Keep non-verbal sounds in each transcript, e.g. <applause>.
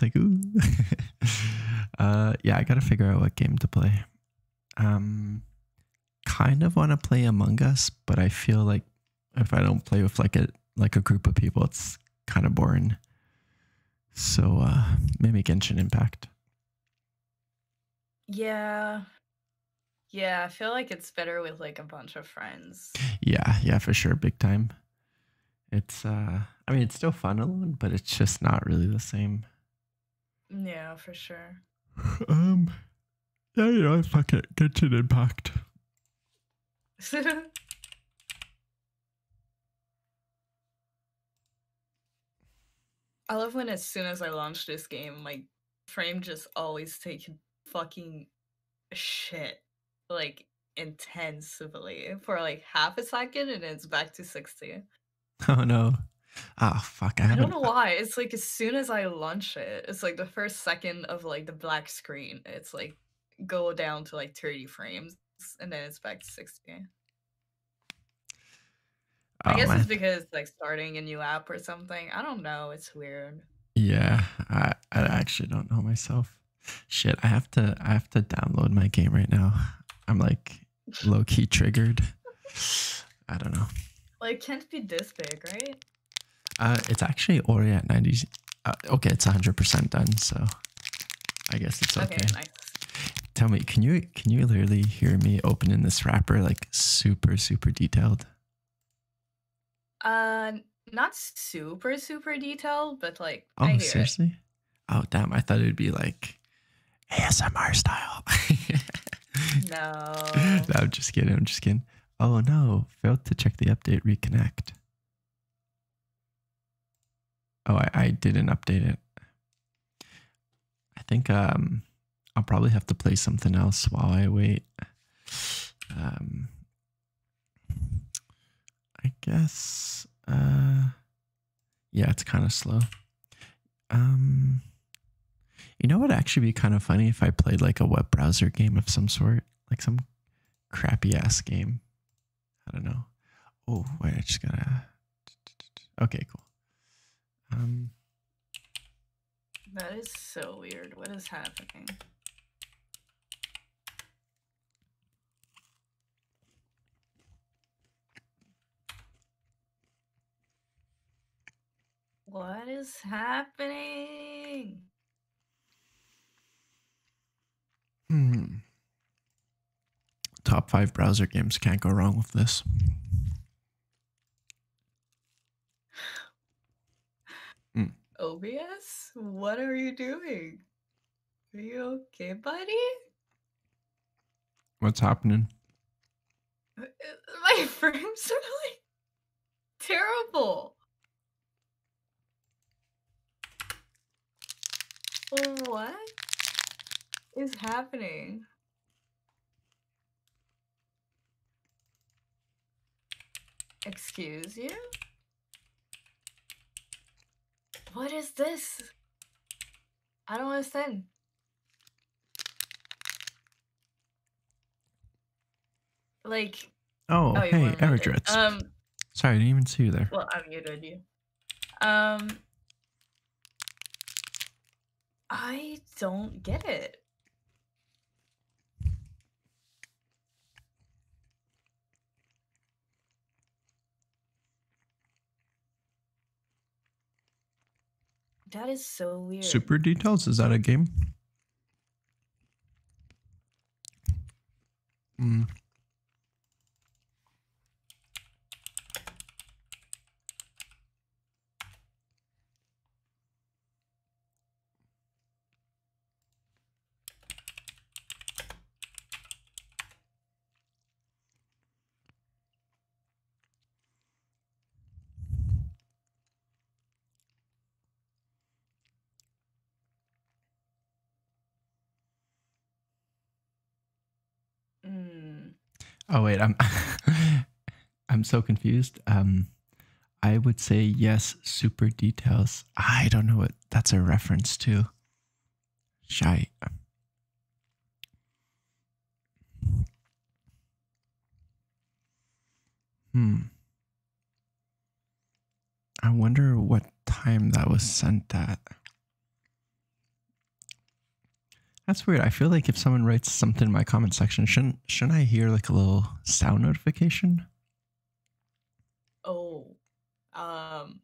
like ooh. <laughs> uh, yeah, I gotta figure out what game to play. Um, kind of want to play Among Us, but I feel like if I don't play with like a like a group of people, it's kind of boring. So uh, maybe Genshin Impact. Yeah. Yeah, I feel like it's better with like a bunch of friends. Yeah, yeah, for sure, big time. It's uh I mean it's still fun alone, but it's just not really the same. Yeah, for sure. <laughs> Um yeah, yeah, know, fuck it. an impact. <laughs> I love when as soon as I launch this game, my frame just always take fucking shit like intensively for like half a second and it's back to 60. <laughs> Oh no. oh, fuck. I, don't know why. It's like as soon as I launch it, it's like the first second of like the black screen. It's like go down to like 30 frames and then it's back to 60. I oh, guess it's because like starting a new app or something. I don't know. It's weird. Yeah, I, I actually don't know myself. Shit, I have to I have to download my game right now. I'm like low key triggered. I don't know. Like, it can't be this big, right? Uh, it's actually already at 90. Uh, okay, it's 100% done, so I guess it's okay. okay nice. Tell me, can you can you literally hear me opening this wrapper like super super detailed? Uh, not super super detailed, but like. Oh, seriously? Oh damn! I thought it'd be like ASMR style. <laughs> no. I'm just kidding. I'm just kidding. Oh no! Failed to check the update. Reconnect. Oh, I, I didn't update it. I think um, I'll probably have to play something else while I wait. Um, I guess. Uh, yeah, it's kind of slow. Um, you know what? Actually, be kind of funny if I played like a web browser game of some sort, like some crappy ass game. I don't know. Oh wait, I just gotta. <tsk> Okay, cool. Um, that is so weird. What is happening? What is happening? Hmm. Top five browser games can't go wrong with this. Mm. OBS, what are you doing? Are you okay, buddy? What's happening? My frames are like terrible. What is happening? Excuse you? What is this? I don't understand. Like. Oh, oh hey, Eric Um, Sorry, I didn't even see you there. Well, I muted you. Um, I don't get it. That is so weird. Super Details, is that a game? Hmm. Mm. Oh wait, I'm <laughs> I'm so confused. Um I would say yes, super details. I don't know what that's a reference to. Shite. Hmm. I wonder what time that was sent at. That's weird. I feel like if someone writes something in my comment section, shouldn't shouldn't I hear like a little sound notification? Oh. Um,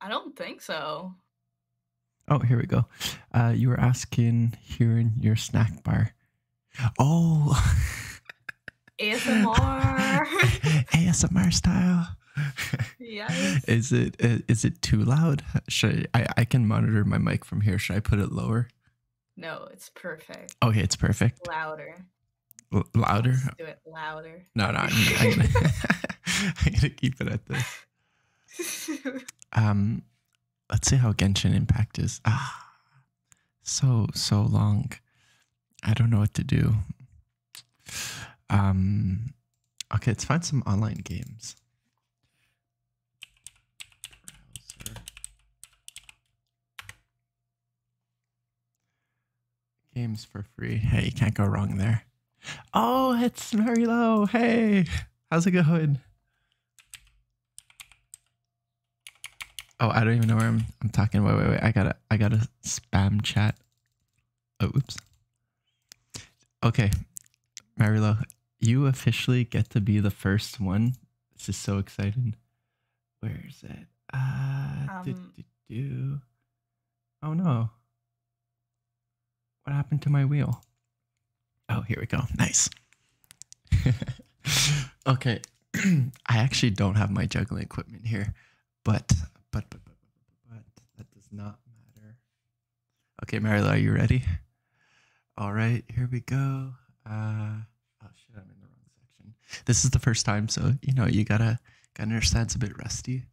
I don't think so. Oh, here we go. Uh, you were asking here in your snack bar. Oh, ASMR, ASMR <laughs> style. Yes. Is it uh, is it too loud? Should I, I can monitor my mic from here? Should I put it lower? No, it's perfect. Okay, it's perfect. Louder louder. Let's do it louder. No, no. I'm, gonna, to keep it at this. <laughs> Um, let's see how Genshin Impact is. Ah, so so long. I don't know what to do. Um, okay, let's find some online games. Games for free. Hey, you can't go wrong there. Oh, it's Mary Hey, how's it going? Oh, I don't even know where I'm, I'm talking. Wait, wait, wait. I gotta, I gotta spam chat. Oh, oops. Okay, Marilo, you officially get to be the first one. This is so exciting. Where is it? Uh, um, do. Oh no. What happened to my wheel? Oh, here we go. Nice. <laughs> okay. <clears throat> I actually don't have my juggling equipment here, but, but, but, but, but, that does not matter. Okay, Marilla, are you ready? All right, here we go. Uh, oh shit, I'm in the wrong section. This is the first time, so you know you gotta gotta understand it's a bit rusty.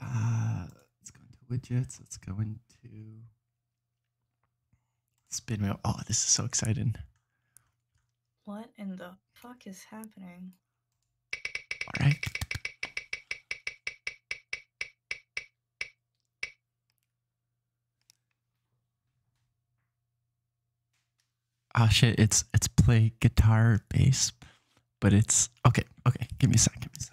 Uh, let's go into widgets. Let's go into spin wheel. Oh, this is so exciting. What in the fuck is happening? All right. Ah oh, shit, it's it's play guitar bass but it's okay. Okay, give me a second. Give me a second.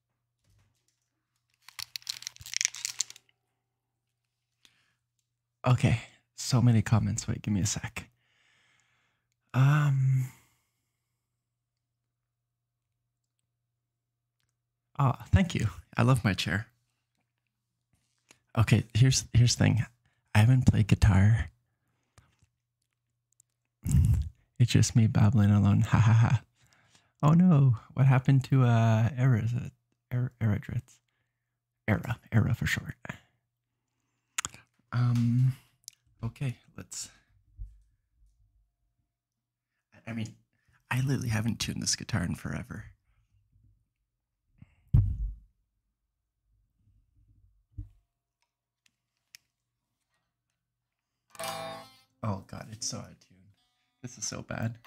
Okay, so many comments. Wait, give me a sec. Um. Ah, thank you. I love my chair. Okay, here's here's thing. I haven't played guitar <laughs> it's just me babbling alone. Ha ha ha. Oh no, what happened to uh Era? Is it er, Era Era, Era for short. Um okay, let's I mean, I literally haven't tuned this guitar in forever. Oh god, it's so out of tune. This is so bad.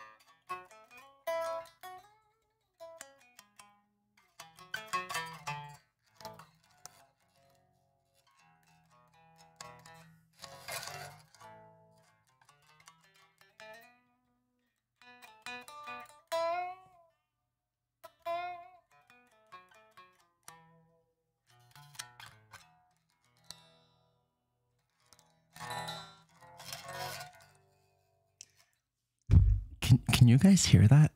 Can can you guys hear that?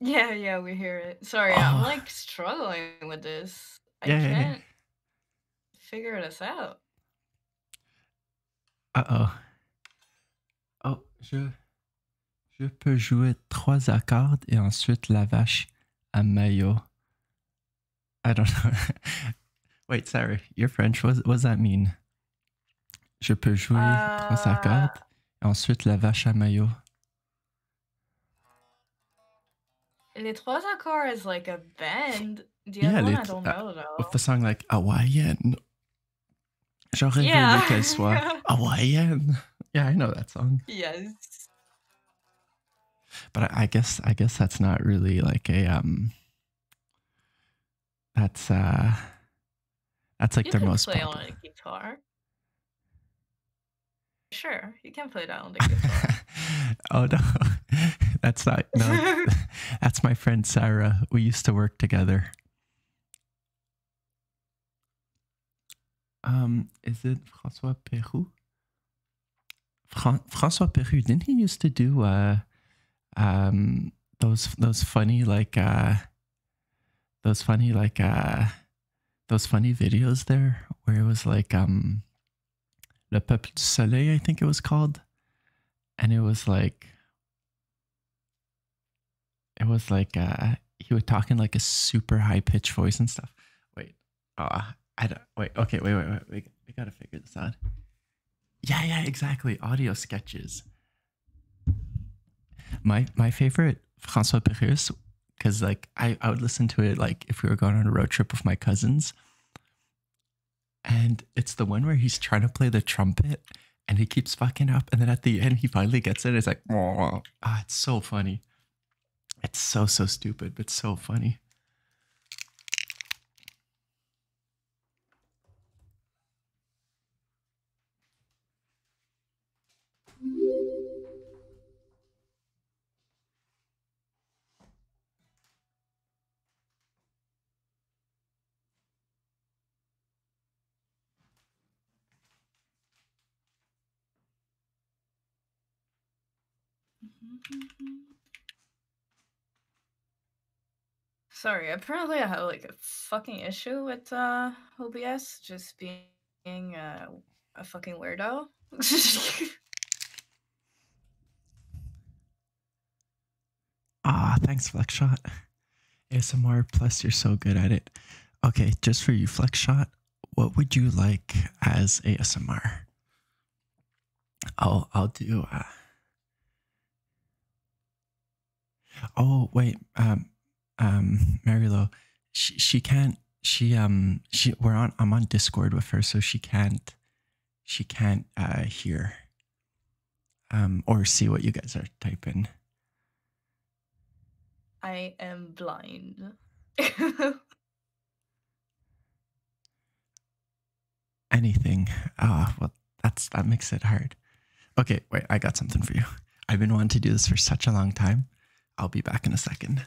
Yeah, yeah, we hear it. Sorry, I'm oh. like struggling with this. I yeah, can't yeah, figure this out. Uh oh. Oh, je je peux jouer trois accords et ensuite la vache. A mayo. I don't know. <laughs> Wait, sorry, you're French. What, does that mean? Je peux jouer uh... trois accords. ensuite, la vache à mayo. Les trois accords is like a band. yeah, With the uh, song like <laughs> Hawaiian. Yeah, I know that song. Yes. But I, guess I guess that's not really like a um. That's uh. That's like you their most. Play on a guitar. Sure, you can play that on the <laughs> guitar. oh no, <laughs> that's not no. <laughs> that's my friend Sarah. We used to work together. Um, is it Francois Peru? Fra- Francois Peru, didn't he used to do uh, um, those those funny like uh, those funny like uh, those funny videos there where it was like um, Le Peuple du Soleil, I think it was called, and it was like it was like uh, he was talking like a super high pitched voice and stuff. Wait, Oh, I don't. Wait. Okay. Wait. Wait. Wait. We, we gotta figure this out. Yeah. Yeah. Exactly. Audio sketches. My my favorite François Pérus because like I I would listen to it like if we were going on a road trip with my cousins. And it's the one where he's trying to play the trumpet and he keeps fucking up. And then at the end, he finally gets it. it's like, oh, it's so funny. It's so, so stupid, but so funny. Mm-hmm, mm-hmm. Sorry, apparently I have like a fucking issue with uh, OBS just being uh, a fucking weirdo. <laughs> <laughs> Ah, thanks, Flex Shot. ASMR, plus you're so good at it. Okay, just for you, Flex Shot, what would you like as ASMR? I'll I'll do. Uh, oh wait, um, um, Marylo, she she can't. She um she we're on. I'm on Discord with her, so she can't. She can't uh hear. Um, or see what you guys are typing. I am blind. <laughs> anything. Ah, well, that's that makes it hard. Okay, wait, I got something for you. I've been wanting to do this for such a long time. I'll be back in a second.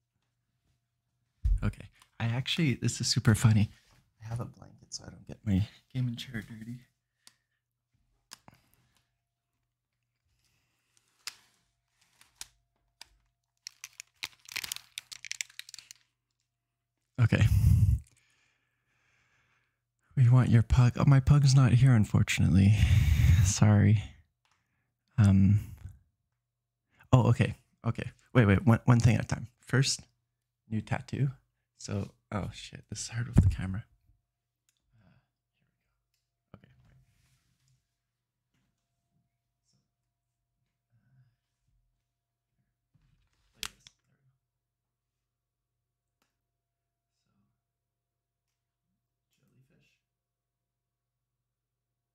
Okay. I actually, this is super funny. I have a blanket so I don't get my gaming chair dirty. Okay. We want your pug. Oh, my pug's not here, unfortunately. <laughs> Sorry. Um, Oh, okay. Okay. Wait, wait. One, one thing at a time. First, new tattoo. So, oh shit, this is hard with the camera. And you have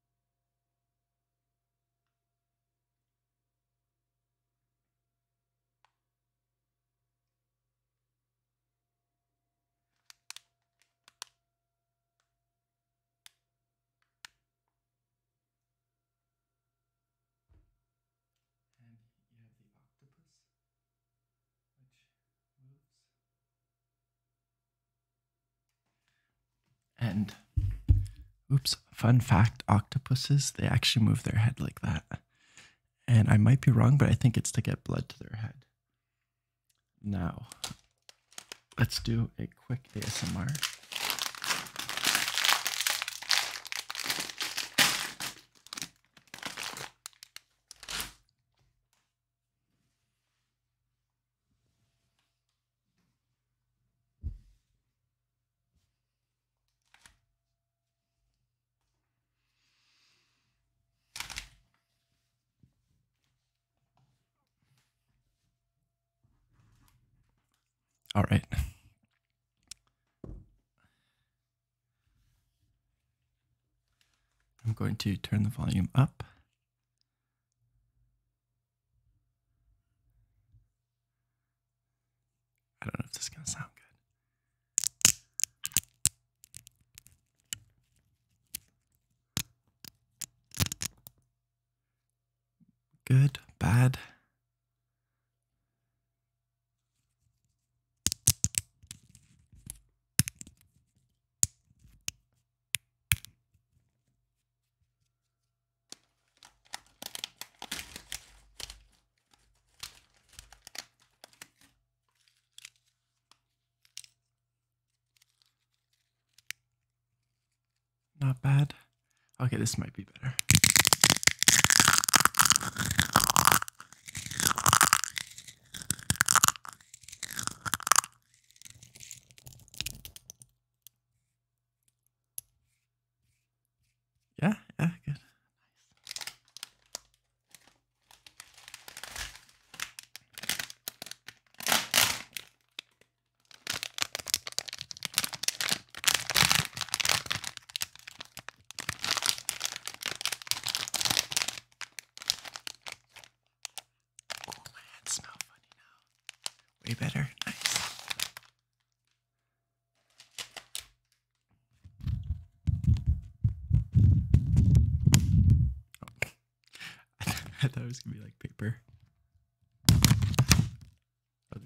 the octopus, which moves and oops, fun fact octopuses, they actually move their head like that. And I might be wrong, but I think it's to get blood to their head. Now, let's do a quick ASMR. All right. I'm going to turn the volume up I don't know if this is going to sound good. Good, bad. Not bad. Okay, this might be better. Yeah, yeah, good. Oh, my hands smell funny now. Way better. Nice. <laughs> I thought it was gonna be like paper. Oh,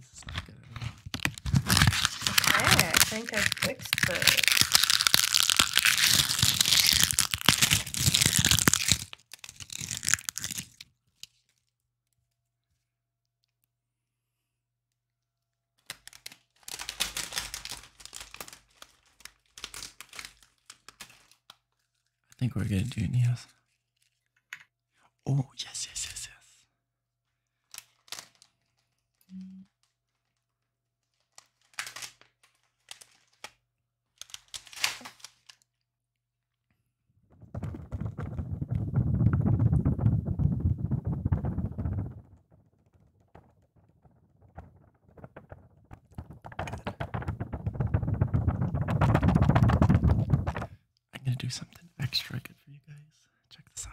okay, I think I fixed it. I think we're gonna do it, yes. Oh yes, yes, yes, yes. I'm going to do something extra good for you guys. Check this out.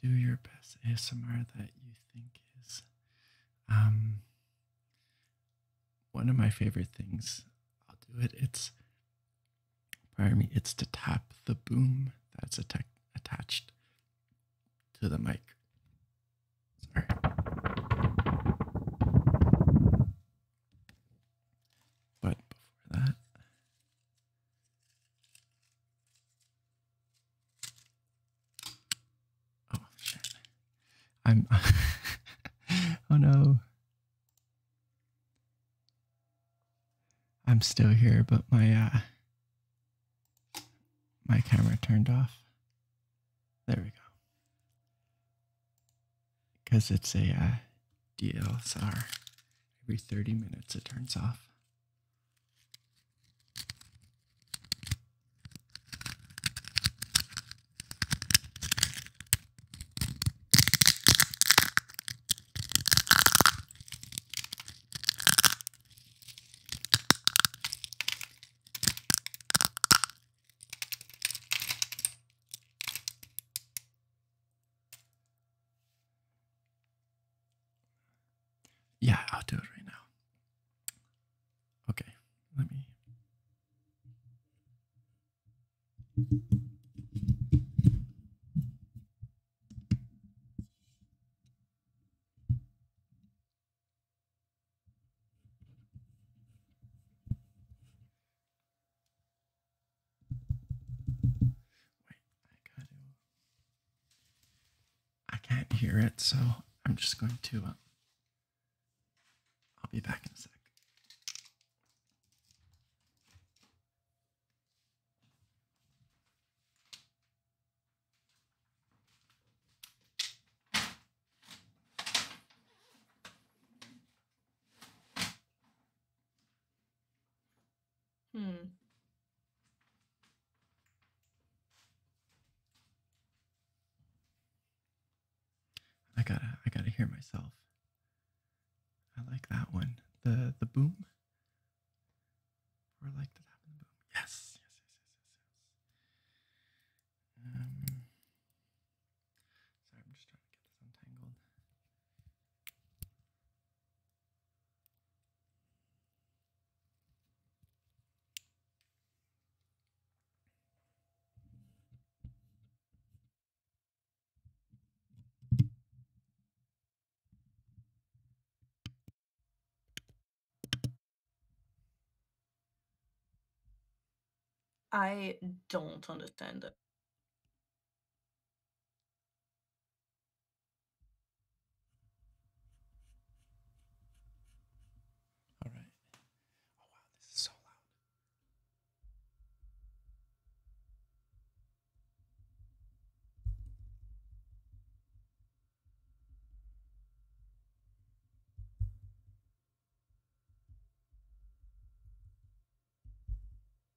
do your best ASMR that you think is. Um, one of my favorite things, I'll do it. It's, pardon me, it's to tap the boom that's attached to the mic. Sorry. But before that, Oh shit. I'm <laughs> Oh no. I'm still here, but my uh, my camera turned off. There we go. Because it's a uh, DSLR Every 30 minutes it turns off. Yeah, I'll do it right now. Okay, let me. Wait, I gotta. I can't hear it, so I'm just going to. Uh, I'll be back in a sec. Hmm. I gotta I gotta hear myself. I like that one. The the boom. Or like the tap and the boom. yes, yes, yes, yes, yes. Um sorry, I'm just trying to get this untangled. I don't understand it. All right. Oh, wow, this is so loud.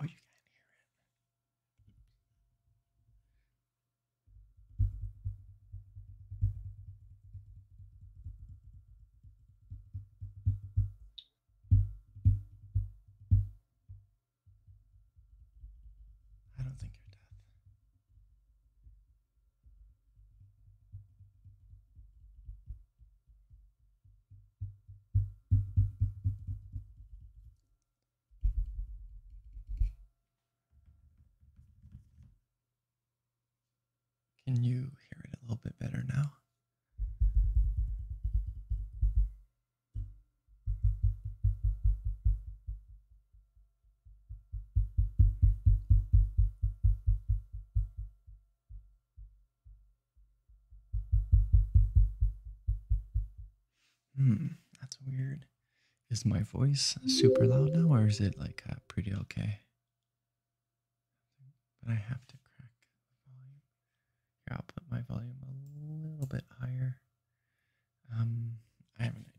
Oh, you can't hear it. I don't think you're deaf. Can you hear it a little bit better now? Hmm, that's weird. Is my voice super loud now, or is it like uh, pretty okay? But I have to crack the volume. Here, I'll put my volume a little bit higher. Um, I have an idea.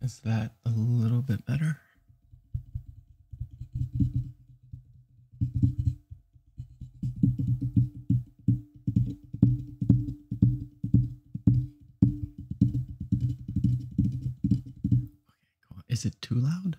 Is that a little bit better? Okay, Is it too loud?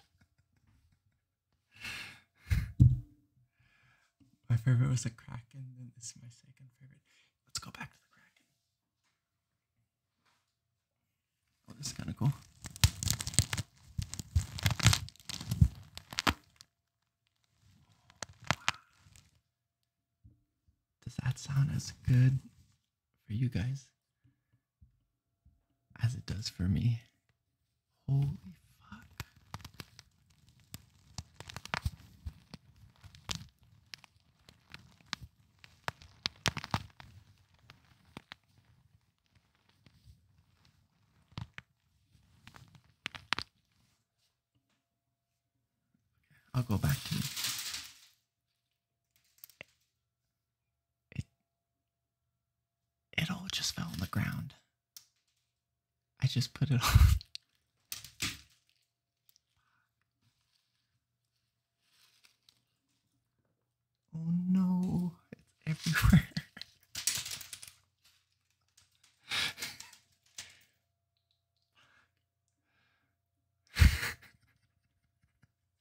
my favorite was the Kraken, and this is my second favorite. Let's go back to the Kraken. Oh, this is kind of cool. Does that sound as good for you guys as it does for me. Holy fuck. I'll go back to it it all just fell on the ground. I just put it <laughs> on. Oh no, it's everywhere. <laughs>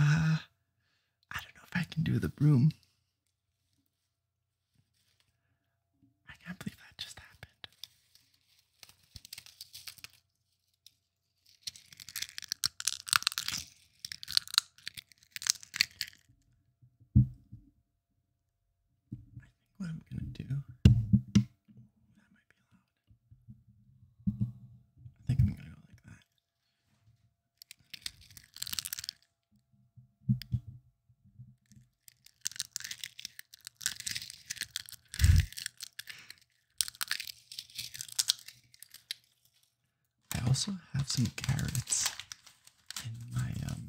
Uh, I don't know if I can do the broom. I can't believe that just happened what I'm gonna do. That might be loud. I think I'm gonna go like that. I also have some carrots in my um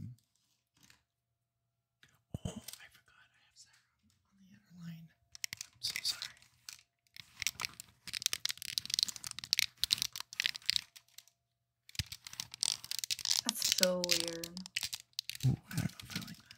Oh, I forgot I have Sarah on the other line. I'm so sorry. That's so weird. Ooh, I don't know if I like that.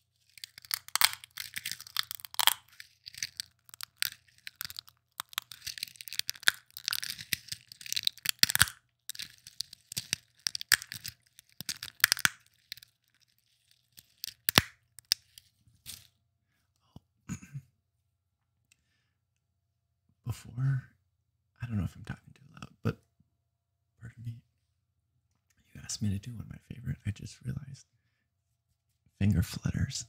Oh. <clears throat> Before, I don't know if I'm talking too loud, but pardon You asked me to do one of my favorite. I just realized finger flutters.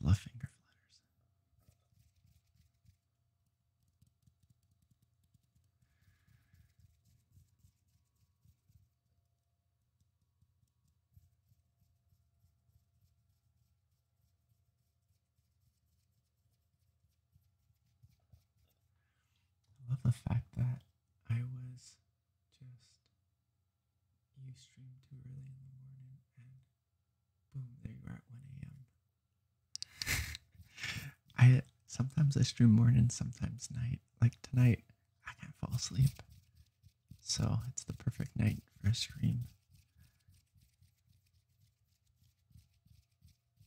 I love finger flutters. I love the fact that I was just you streamed too early in the morning and boom, there you are at 1 a.m. <laughs> I sometimes I stream morning, sometimes night. Like tonight, I can't fall asleep. So it's the perfect night for a stream.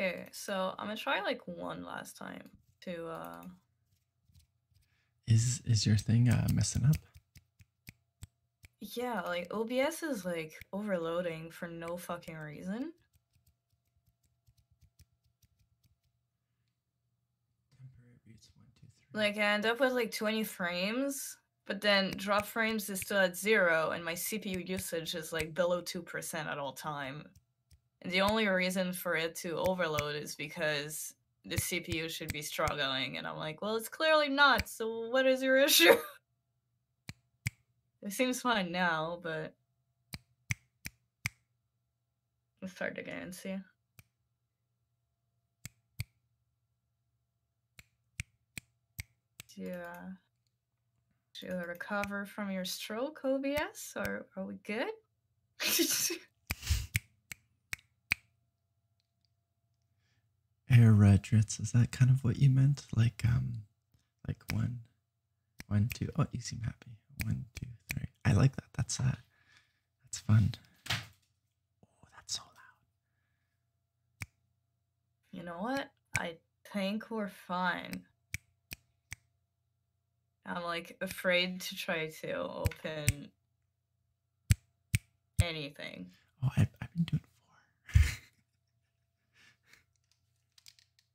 Okay, so I'm gonna try like one last time to uh Is is your thing uh messing up? Yeah, like OBS is like overloading for no fucking reason. Like I end up with like 20 frames, but then drop frames is still at zero, and my CPU usage is like below 2% at all time. And the only reason for it to overload is because the CPU should be struggling, and I'm like, well, it's clearly not, so what is your <laughs> issue? it seems fine now, but it's hard to get and see. Yeah. Uh, do you recover from your stroke, OBS? Or are we good? <laughs> Air redrets, is that kind of what you meant? Like um like one. One two oh, you seem happy. One, two, three. I like that. That's uh, that's fun. Oh, that's so loud. You know what? I think we're fine. I'm like afraid to try to open anything. Oh, I've, I've been doing four. <laughs>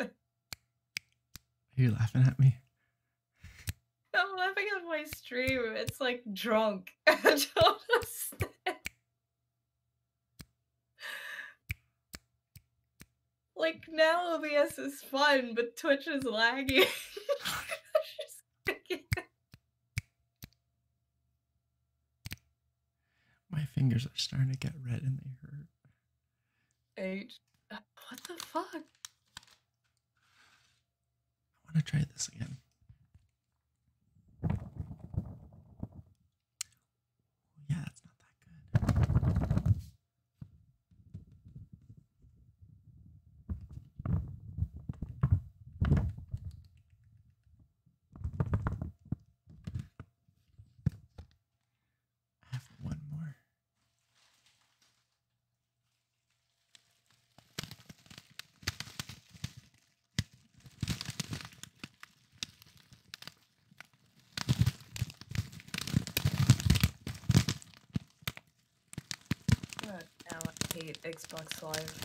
are <laughs> you laughing at me? I'm laughing at my stream. It's like drunk. <laughs> like now OBS is fun, but Twitch is lagging. <laughs> My fingers are starting to get red and they hurt. H. Uh, what the fuck? I want to try this again. Yeah, that's not that good. I have one more. God, I hate Xbox Live.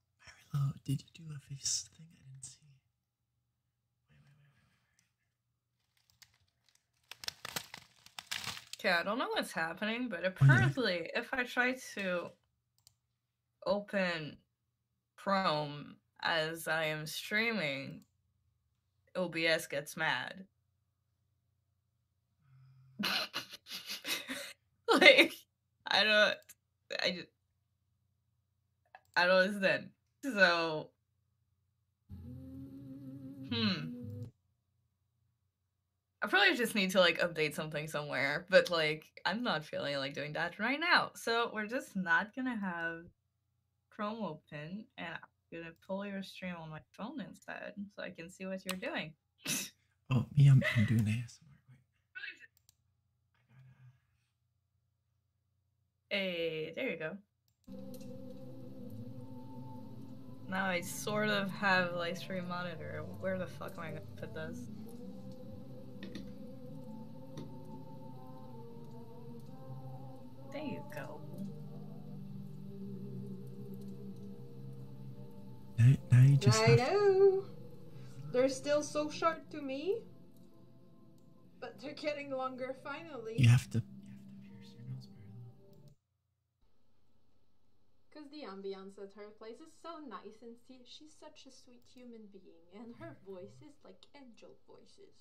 Marilo, did you do a face thing? I didn't see. Wait, Okay, I don't know what's happening, but apparently, if I try to open Chrome as I am streaming, OBS gets mad. Mm. <laughs> like I don't. I just. I don't understand. So. Hmm. I probably just need to like update something somewhere, but like I'm not feeling like doing that right now. So we're just not gonna have Chrome open and I'm gonna pull your stream on my phone instead so I can see what you're doing. <laughs> oh, me, I'm, doing this. Hey, there you go. Now I sort of have live stream monitor. Where the fuck am I gonna put this? There you go. Now, now you just. I know. They're still so sharp to me, but they're getting longer finally. You have to. Because the ambiance at her place is so nice, and see, she's such a sweet human being, and her voice is like angel voices.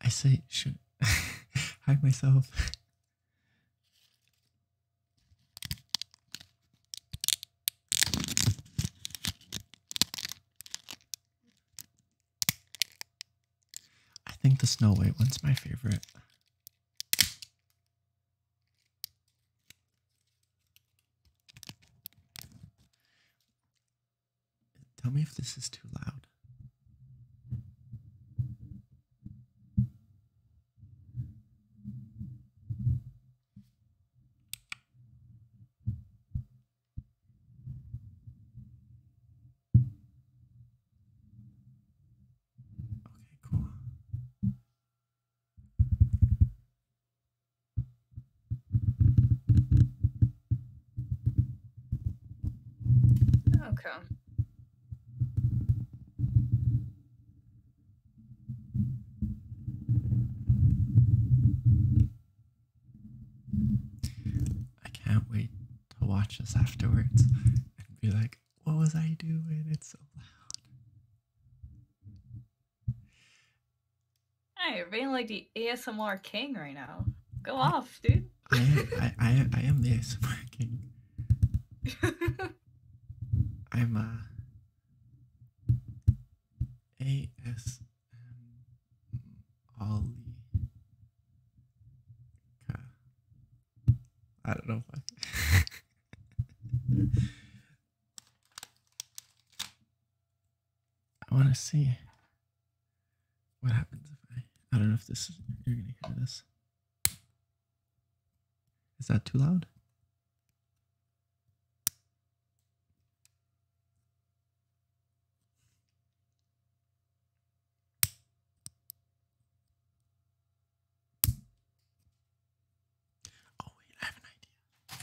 I say, should <laughs> hide myself. <laughs> I think the Snow White one's my favorite. Tell me if this is too loud. Okay, cool. Okay. I can't wait to watch this afterwards and be like, what was I doing? It's so loud. I am being like the ASMR king right now. Go off, dude. I, am, I, I am the ASMR king. <laughs> I'm uh, a ASM I don't know I. <laughs> I want to see what happens if I. I don't know if this is, you're gonna hear this. Is that too loud? Oh, wait, I have an idea.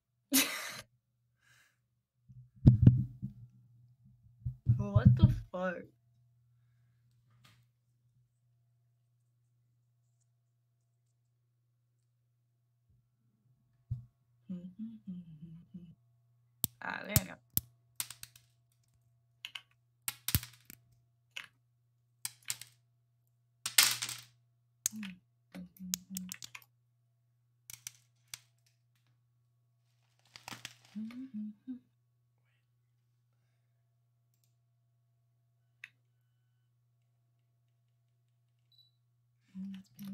what the fuck? <laughs> Ah, there you go. Mm -hmm. Let me. I'm getting really hot.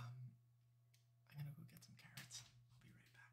Um, I'm gonna go get some carrots. I'll be right back.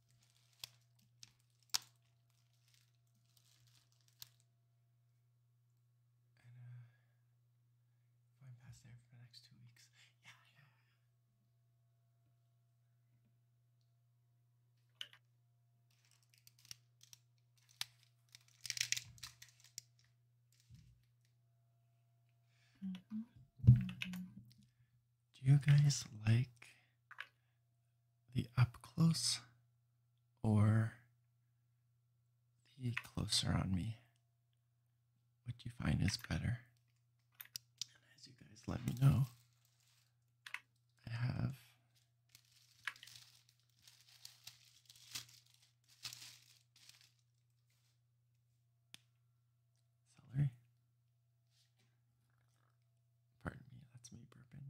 And uh, I'm past there for the next two weeks, yeah, yeah. -hmm do you guys like the up close or the closer on me? What do you find is better? as you guys let me know, I have celery, Pardon me, that's me burping.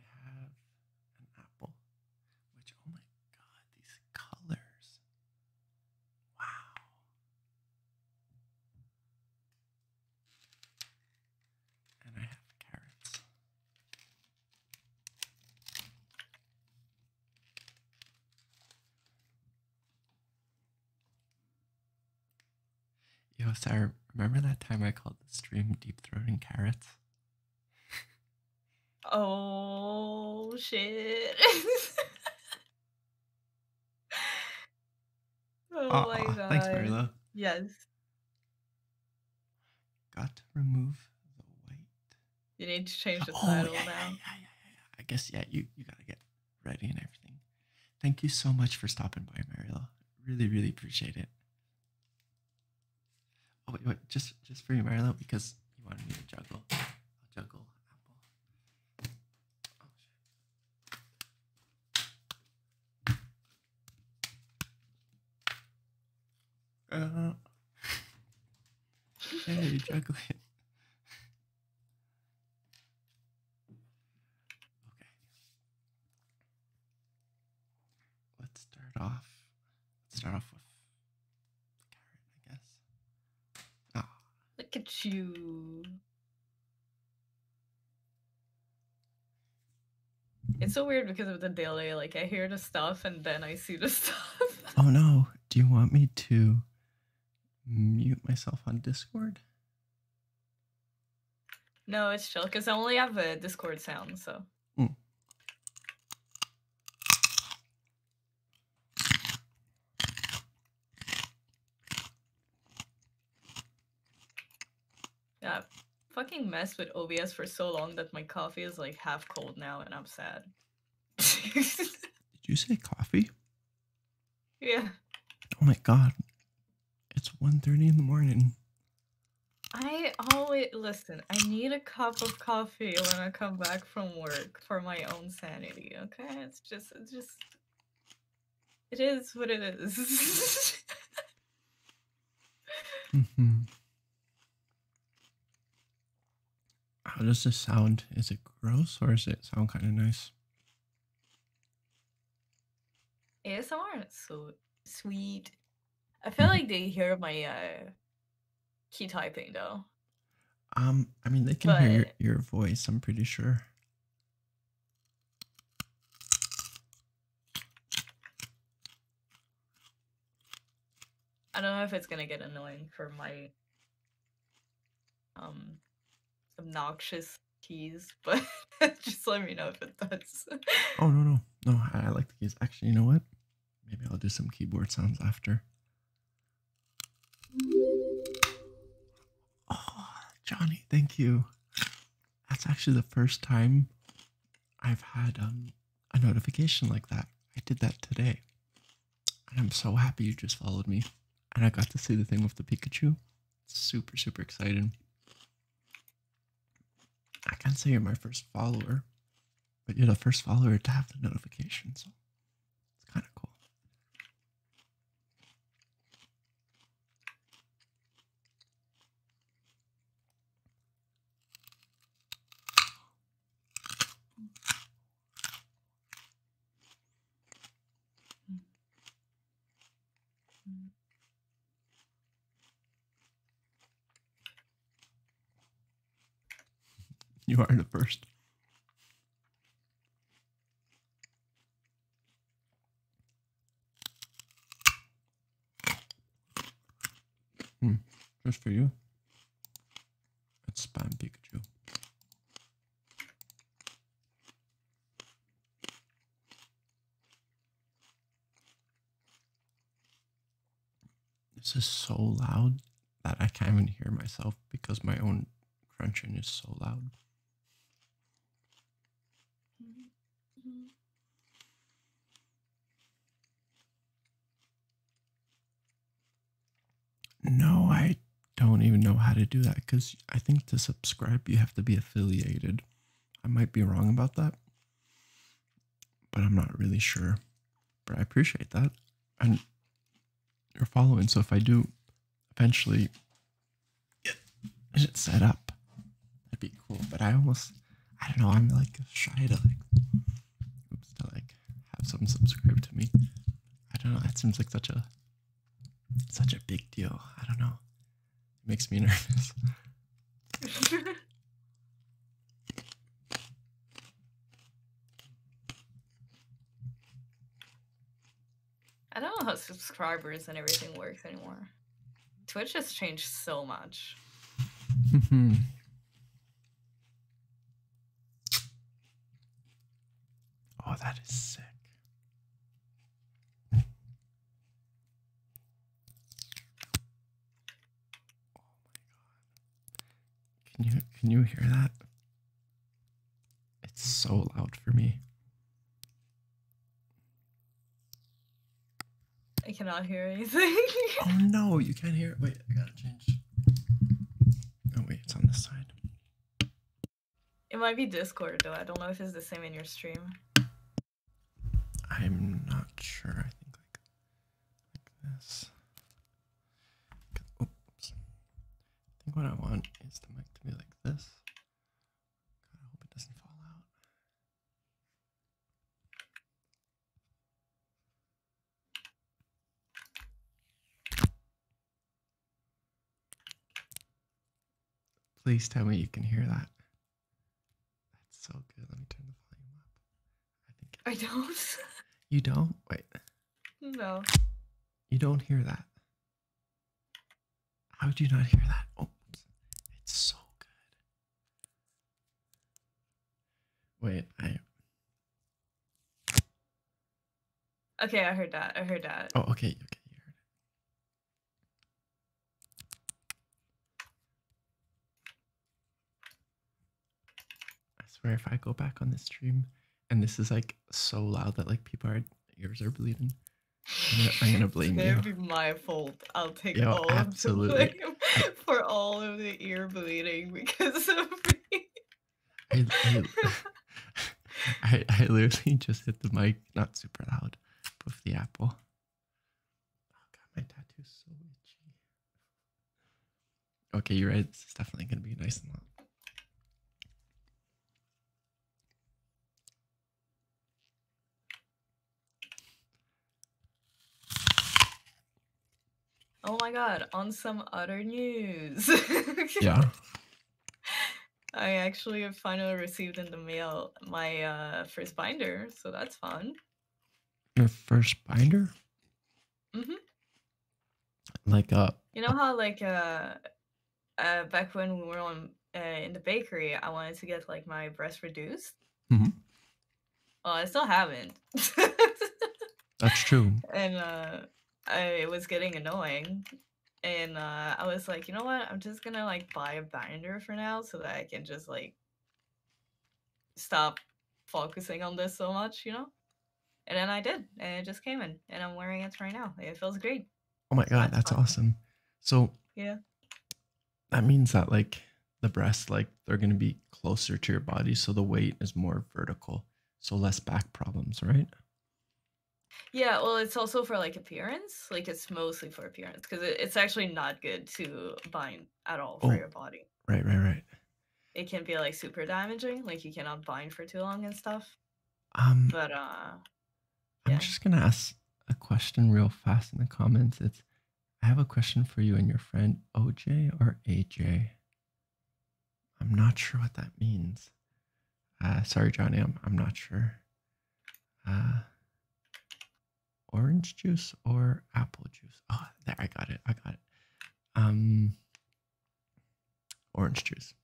I have an apple, which, oh my god, these colors. Wow. And I have carrots. Yo, Sarah, remember that time I called the stream deep and carrots? <laughs> oh shit. <laughs> oh my god. Yes. Got to remove the white. You need to change the oh, title now. Yeah, yeah, yeah, yeah. I guess yeah, you, you gotta get ready and everything. Thank you so much for stopping by, Mariel. Really, really appreciate it. Oh wait, wait, just just for you, Mariel, because you wanted me to juggle. juggle apple. Oh shit. Uh, <laughs> Okay. Let's start off. Let's start off with I guess. Ah. Look at you. It's so weird because of the delay. Like I hear the stuff and then I see the <laughs> stuff. oh no. Do you want me to mute myself on Discord? No, it's chill because I only have a Discord sound, so. Mm. Yeah, fucking mess with OBS for so long that my coffee is like half cold now, and I'm sad. <laughs> Did you say coffee? Yeah. Oh my god. It's 1.30 in the morning. I always listen, I need a cup of coffee when I come back from work for my own sanity, okay? It's just it's just it is what it is. mm-hmm. How does this sound? Is it gross or is it sound kind of nice? ASMR is so sweet. I feel like they hear my uh, key typing though. Um, I mean, they can hear your voice. I'm pretty sure. I don't know if it's gonna get annoying for my um obnoxious keys, <laughs> but just let me know if it does. oh no no no! I, like the keys. Actually, you know what? Maybe I'll do some keyboard sounds after. Oh, Johnny, thank you. That's actually the first time I've had um, a notification like that. I did that today. And I'm so happy you just followed me. And I got to see the thing with the Pikachu. Super, super excited. I can't say you're my first follower, but you're the first follower to have the notification, so it's kind of cool. You are the first. Hmm, just for you. It's spam Pikachu. This is so loud that I can't even hear myself because my own crunching is so loud. No, I don't even know how to do that because I think to subscribe you have to be affiliated. I might be wrong about that, but I'm not really sure. But I appreciate that. And you're following. So if I do eventually get it set up, that'd be cool. But I almost, I don't know, I'm like shy to like, to like have someone subscribe to me. I don't know. That seems like such a, such a big deal. I don't know. Makes me <laughs> nervous. <laughs> I don't know how subscribers and everything works anymore. Twitch has changed so much. <laughs> oh, that is sick. Oh my god. Can you can you hear that? It's so loud for me. I cannot hear anything. <laughs> oh no, you can't hear it. Wait, I gotta change. Oh wait, it's on this side. It might be Discord though. I don't know if it's the same in your stream. I'm not sure. I think like this. Oops. I think what I want is the mic to be like this. I hope it doesn't fall out. Please tell me you can hear that. That's so good. Let me turn the volume up. I think I don't. <laughs> You don't? Wait. No. You don't hear that. How do you not hear that? Oh, it's so good. Wait, I. Okay, I heard that. I heard that. Oh, okay. Okay, you heard it. I swear if I go back on this stream and this is like so loud that like people are ears are bleeding. I'm gonna, <laughs> blame you. It's going be my fault. I'll take Yo, all of the blame <laughs> for all of the ear bleeding because of <laughs> me. I, I literally just hit the mic, not super loud, with the apple. Oh god, my tattoo's so itchy. Okay, you're right. It's definitely gonna be nice and long. Oh my god, on some other news. <laughs> yeah. <laughs> I actually have finally received in the mail my uh, first binder, so that's fun. Your first binder? Mm-hmm. Like uh You know how like uh, uh back when we were on uh, in the bakery, I wanted to get like my breast reduced. Mm-hmm. Well, oh, I still haven't. <laughs> that's true. <laughs> And uh, it was getting annoying, and uh, I was like, you know what? I'm just gonna like buy a binder for now so that I can just like stop focusing on this so much, you know? And then I did, and it just came in, and I'm wearing it right now. It feels great. Oh my god, that's awesome. So yeah, that means that like the breasts, like they're gonna be closer to your body, so the weight is more vertical, so less back problems, right? Yeah, well, it's also for like appearance. Like it's mostly for appearance because it's actually not good to bind at all for oh, your body. Right, right, right. It can be like super damaging, like you cannot bind for too long and stuff. Um, but uh, I'm just gonna ask a question real fast in the comments. It's I have a question for you and your friend OJ or AJ. I'm not sure what that means. Uh, sorry, Johnny, I'm, I'm not sure. Uh, orange juice or apple juice? Oh, there I got it. I got it. Um, orange juice.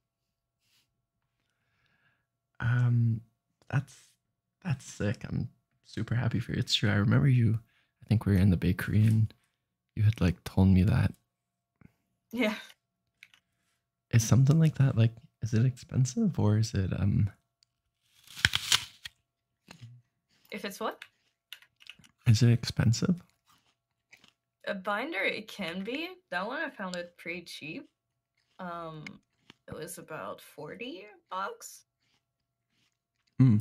Um, that's that's sick. I'm super happy for you. It's true. I remember you. I think we were in the bakery and you had like told me that. Yeah. Is something like that like is it expensive or is it um? If it's what? Is it expensive? A binder, it can be. That one I found it pretty cheap. Um, it was about forty bucks. Hmm.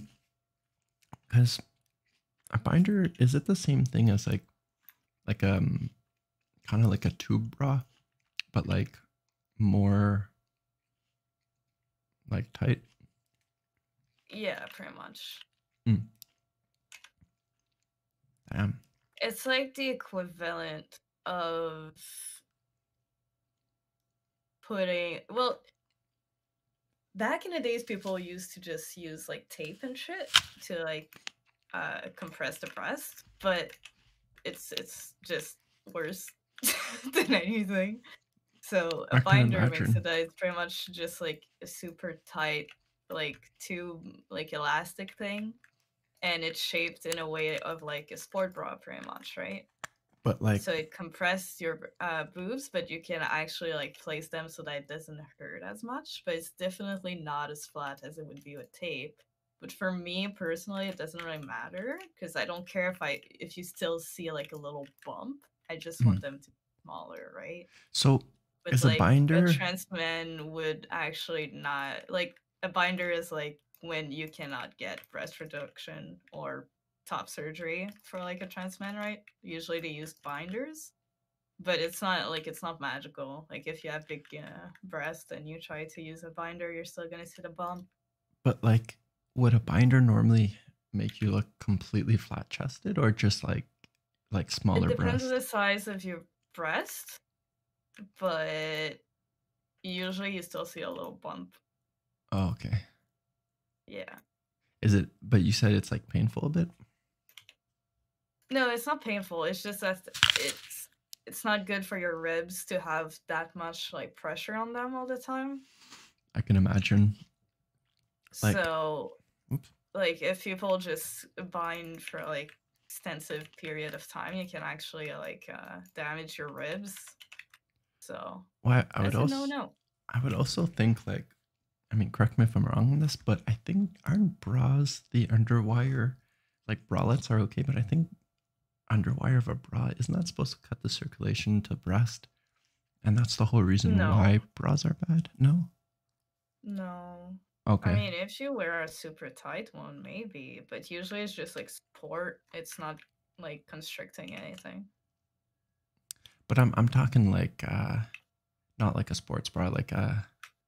Because a binder is it the same thing as like, like um, kind of like a tube bra, but like more like tight. Yeah, pretty much. Mm. Damn. It's like the equivalent of putting well back in the days people used to just use like tape and shit to like uh compress the breast, but it's it's just worse <laughs> than anything. So a binder makes it that it's pretty much just like a super tight, like tube, like elastic thing, and it's shaped in a way of like a sport bra, pretty much, right? But like, so it compresses your uh, boobs, but you can actually like place them so that it doesn't hurt as much. But it's definitely not as flat as it would be with tape. But for me personally, it doesn't really matter because I don't care if I if you still see like a little bump. I just hmm. want them to smaller, right? So as a binder trans men would actually not like a binder is like when you cannot get breast reduction or top surgery for like a trans man, right? Usually they use binders, but it's not like it's not magical. Like if you have big uh, breast and you try to use a binder, you're still gonna see the bump. But like, would a binder normally make you look completely flat chested or just like like smaller it depends breasts? on the size of your breast, but usually you still see a little bump. Oh, okay. Yeah. Is it? But you said it's like painful a bit. No, it's not painful. It's just that it's it's not good for your ribs to have that much like pressure on them all the time. I can imagine. so, like if people just bind for like extensive period of time, you can actually like uh, damage your ribs. So, why? I would also no no. I would also think like, I mean, correct me if I'm wrong on this, but I think aren't bras the underwire, like bralettes are okay, but I think underwire of a bra isn't that supposed to cut the circulation to breast and that's the whole reason why bras are bad no no okay i mean if you wear a super tight one maybe but usually it's just like support it's not like constricting anything but i'm i'm talking like uh not like a sports bra like a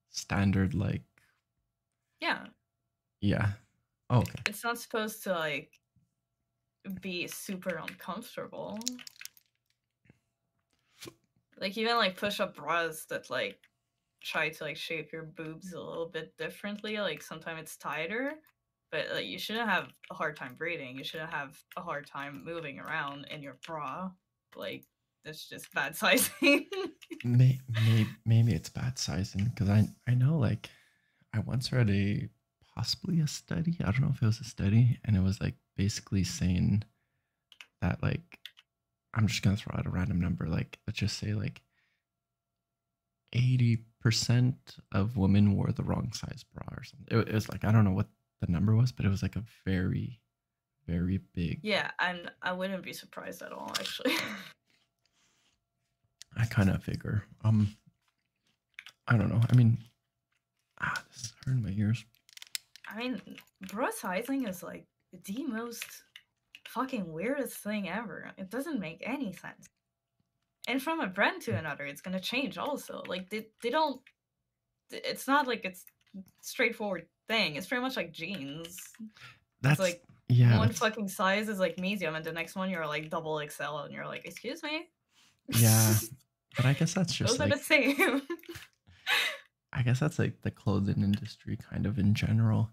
standard like yeah yeah. Oh, okay. It's not supposed to like be super uncomfortable. Like even like push up bras that like try to like shape your boobs a little bit differently. Like sometimes it's tighter, but like you shouldn't have a hard time breathing. You shouldn't have a hard time moving around in your bra. Like that's just bad <laughs> sizing. maybe, maybe, maybe it's bad sizing because I I know like I once read a possibly a study. I don't know if it was a study, and it was like basically saying that like I'm just gonna throw out a random number. Like let's just say like eighty percent of women wore the wrong size bra or something. It, was like I don't know what the number was, but it was like a very very big. Yeah, and I wouldn't be surprised at all, actually. <laughs> I kind of figure. Um, I don't know. I mean, ah, this is hurting my ears. I mean, Bruce sizing is like the most fucking weirdest thing ever. It doesn't make any sense. And from a brand to another, it's gonna change also. Like they they don't. It's not like it's straightforward thing. It's very much like jeans. That's like yeah. One fucking size is like medium, and the next one you're like double XL, and you're like, excuse me. Yeah, <laughs> but I guess that's just the same. I guess that's like the clothing industry, kind of in general,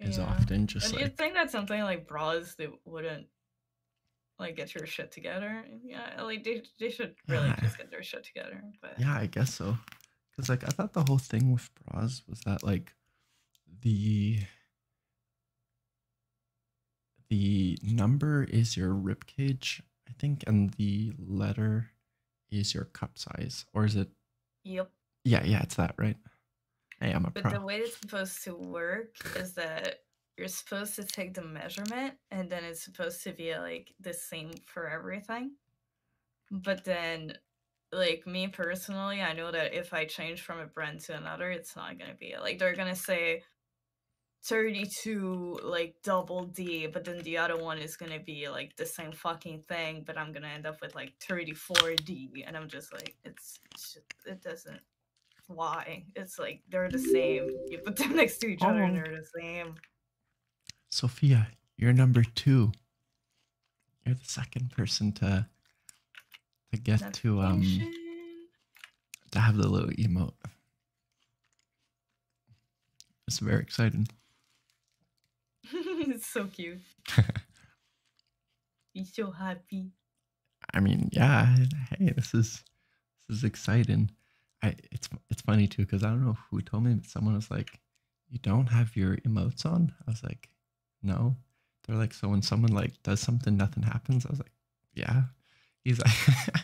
is often just. like, you'd think that something like bras that wouldn't like get your shit together. Yeah, like they, they should really just get their shit together. But yeah, I guess so. Cause like I thought the whole thing with bras was that like the the number is your ribcage, I think, and the letter is your cup size, or is it? Yep. Yeah, yeah, it's that, right? Hey, I'm a but the way it's supposed to work is that you're supposed to take the measurement, and then it's supposed to be like the same for everything. But then like me personally, I know that if I change from a brand to another, it's not gonna be like they're gonna say 32 like double D, but then the other one is gonna be like the same fucking thing, but I'm gonna end up with like 34 D, and I'm just like, it's, it doesn't. Why? It's like they're the same. You put them <laughs> next to each other, and oh. they're the same. Sophia, you're number two. You're the second person to to get to um to have the little emote. It's very exciting. <laughs> it's so cute. <laughs> He's so happy. I mean, yeah. Hey, this is this is exciting. I it's it's funny too because I don't know who told me, but someone was like, "You don't have your emotes on." I was like, no. They're like, so when someone like does something, nothing happens. I was like, yeah. He's like,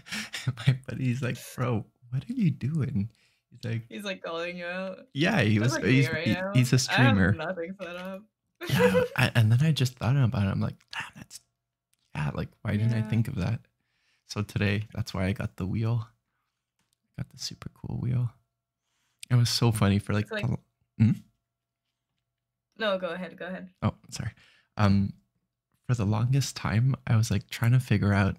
<laughs> my buddy's like, bro, what are you doing? He's like, he's like calling you out. Yeah, he was. he's, he's a streamer. I nothing set up. yeah, and then I just thought about it. I'm like, damn, that's yeah. Like, why didn't I think of that? So today, that's why I got the wheel. got the super cool wheel. It was so funny for like. hmm? No, go ahead. Go ahead. Oh, sorry. Um, for the longest time, I was like trying to figure out.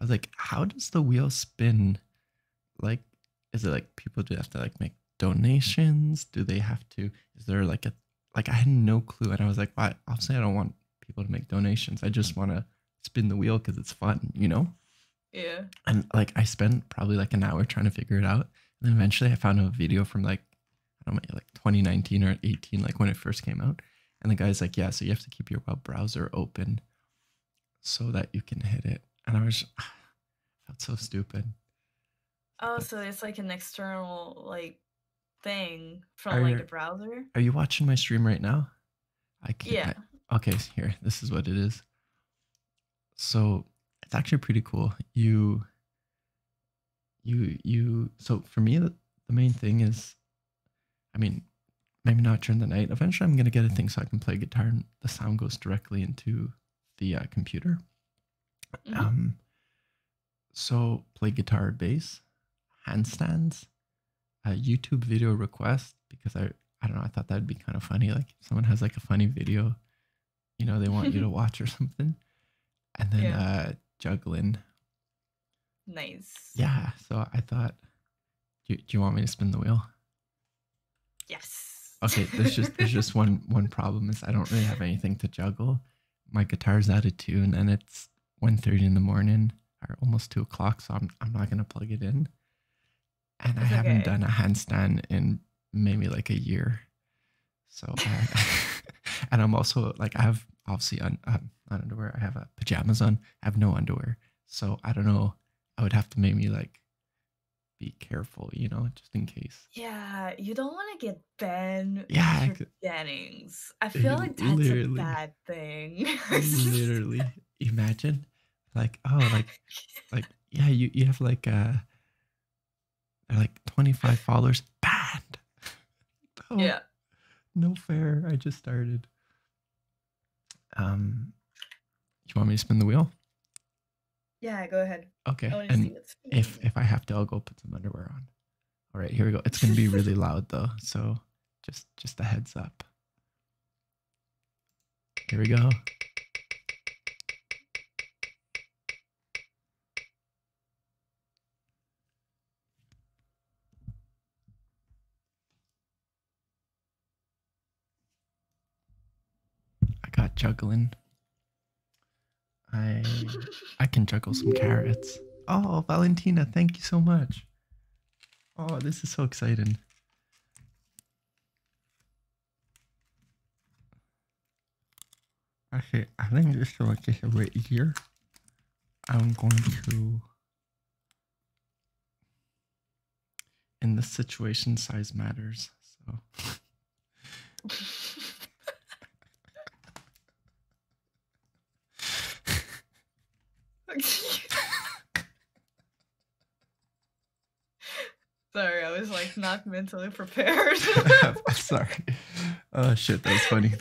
I was like, how does the wheel spin? Like, is it like people do have to like make donations? Do they have to? Is there like a like I had no clue, and I was like, why? Well, obviously, I don't want people to make donations. I just want to spin the wheel because it's fun, you know? Yeah. And like I spent probably like an hour trying to figure it out. And then eventually I found a video from like, I don't know, like 2019 or 18, like when it first came out. And the guy's like, yeah, so you have to keep your web browser open so that you can hit it. And I was, <sighs> felt so stupid. Oh, so it's like an external like thing from like a browser. Are you watching my stream right now? I can't. Yeah. okay, here. This is what it is so it's actually pretty cool. You, you, you. So for me, the, main thing is, I mean, maybe not during the night. Eventually, I'm gonna get a thing so I can play guitar, and the sound goes directly into the uh, computer. Mm-hmm. Um, so play guitar, bass, handstands, a YouTube video request because I I don't know I thought that'd be kind of funny. Like someone has like a funny video you know they want you to <laughs> watch or something and then uh juggling nice yeah so i thought do, you want me to spin the wheel yes okay there's just there's just <laughs> one one problem is i don't really have anything to juggle my guitar's out of tune and it's 1.30 in the morning or almost 2 o'clock so i'm, I'm not going to plug it in and i haven't done a handstand in maybe like a year. So, <laughs> and I'm also like I have obviously on un, un, uh, underwear. I have a uh, pajamas on. I have no underwear. So I don't know. I would have to maybe like be careful, you know, just in case. Yeah, you don't want to get Ben. Yeah, for I feel like that's a bad thing. <laughs> <laughs> literally, imagine, like, oh, like, like, yeah, you you have like a uh, they're like 25 followers banned. <laughs> oh, yeah. No fair. I just started. Um, you want me to spin the wheel? Yeah, go ahead. Okay. And if if I have to, I'll go put some underwear on. All right, here we go. It's gonna be <laughs> really loud though, so just just a heads up. Here we go. I got juggling. I I can juggle some carrots. Oh, Valentina, thank you so much. Oh, this is so exciting. Okay, I think this to make a bit easier, I'm going to, in this situation, size matters. So. <laughs> <laughs> Sorry, I was like not mentally prepared. <laughs> Sorry. Oh shit, that was funny.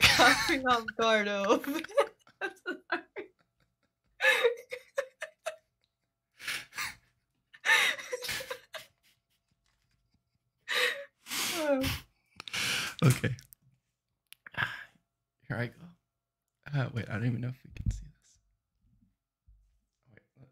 Caught me off guard. <laughs> <laughs> okay. Ah, here I go. Ah, wait, I don't even know if we can see this. Wait, let,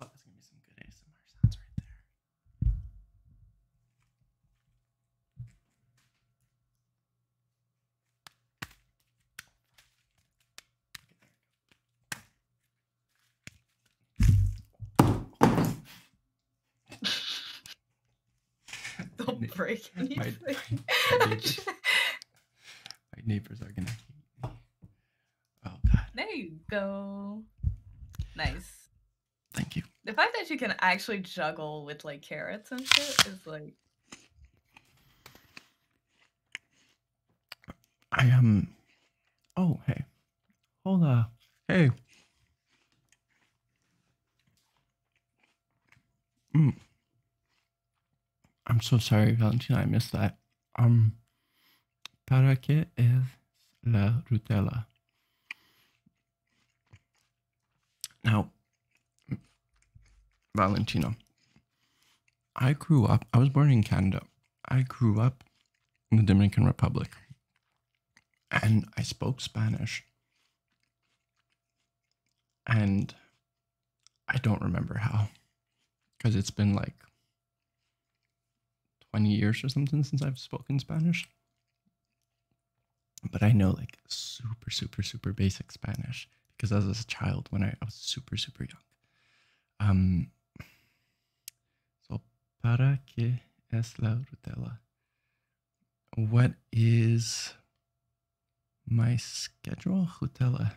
I think this is gonna be easier. Oh, that's gonna be some good ASMR sounds right there. <laughs> Don't my break anything. <laughs> My, neighbors, are gonna hate me. Oh god. There you go. Nice. Thank you. The fact that you can actually juggle with like carrots and shit is like I am. Um, oh, hey. hold Hola. Uh, hey. Mm. I'm so sorry, Valentina. I missed that. Um, ¿para qué es la rutela? Now, Valentino, I grew up, I was born in Canada. I grew up in the Dominican Republic and I spoke Spanish. And I don't remember how because it's been like 20 years or something since I've spoken Spanish. But I know like super, super, super basic Spanish because I was a child when I, I was super, super young. Um, so, ¿para qué es la rutela? What is my schedule? Rutela.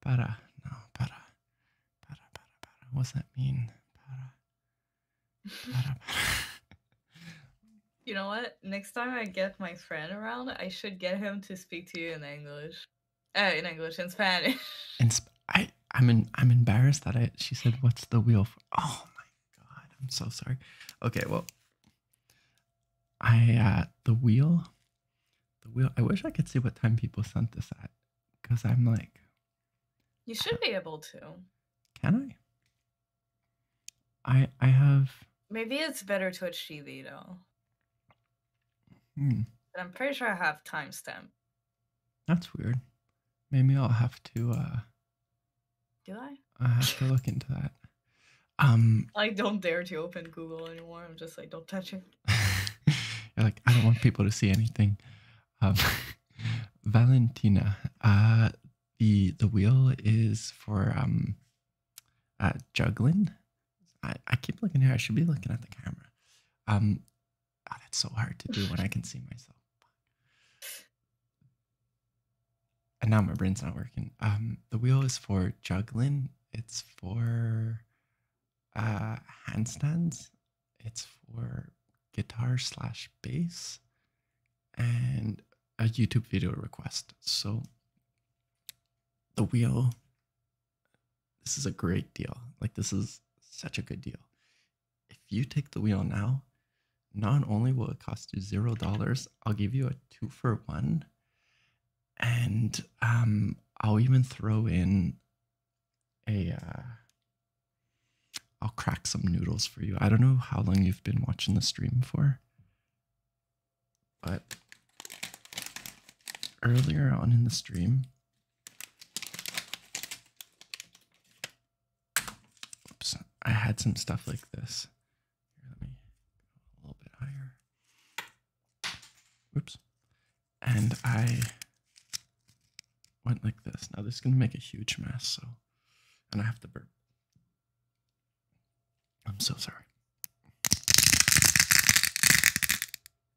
Para. No, para. Para, para, para. What's that mean? para. You know what? Next time I get my friend around, I should get him to speak to you in English. Oh, in English, and Spanish. And <laughs> I, I'm in, I'm embarrassed that I. She said, "What's the wheel for?" Oh my god, I'm so sorry. Okay, well, I uh, the wheel, the wheel. I wish I could see what time people sent this at, because I'm like. You should be able to. Can I? I I have. Maybe it's better to achieve TV though. Hmm. But I'm pretty sure I have timestamp. That's weird. Maybe I'll have to. Uh, Do I? I have to look into that. Um, I don't dare to open Google anymore. I'm just like, don't touch it. <laughs> You're like, I don't want people to see anything. Um, <laughs> Valentina, uh, the the wheel is for um, uh, juggling. I, I keep looking here. I should be looking at the camera. Um, oh, that's so hard to do when I can see myself. And now my brain's not working. Um, the wheel is for juggling. It's for uh, handstands. It's for guitar slash bass, and a YouTube video request. So the wheel this is a great deal. Like this is such a good deal. If you take the wheel now, not only will it cost you zero dollars, I'll give you a two for one, and um, I'll even throw in a. Uh, I'll crack some noodles for you. I don't know how long you've been watching the stream for, but earlier on in the stream, Oops, I had some stuff like this. let me a little bit higher. Oops. And I went like this. Now this is gonna make a huge mess, so and I have to burp. I'm so sorry.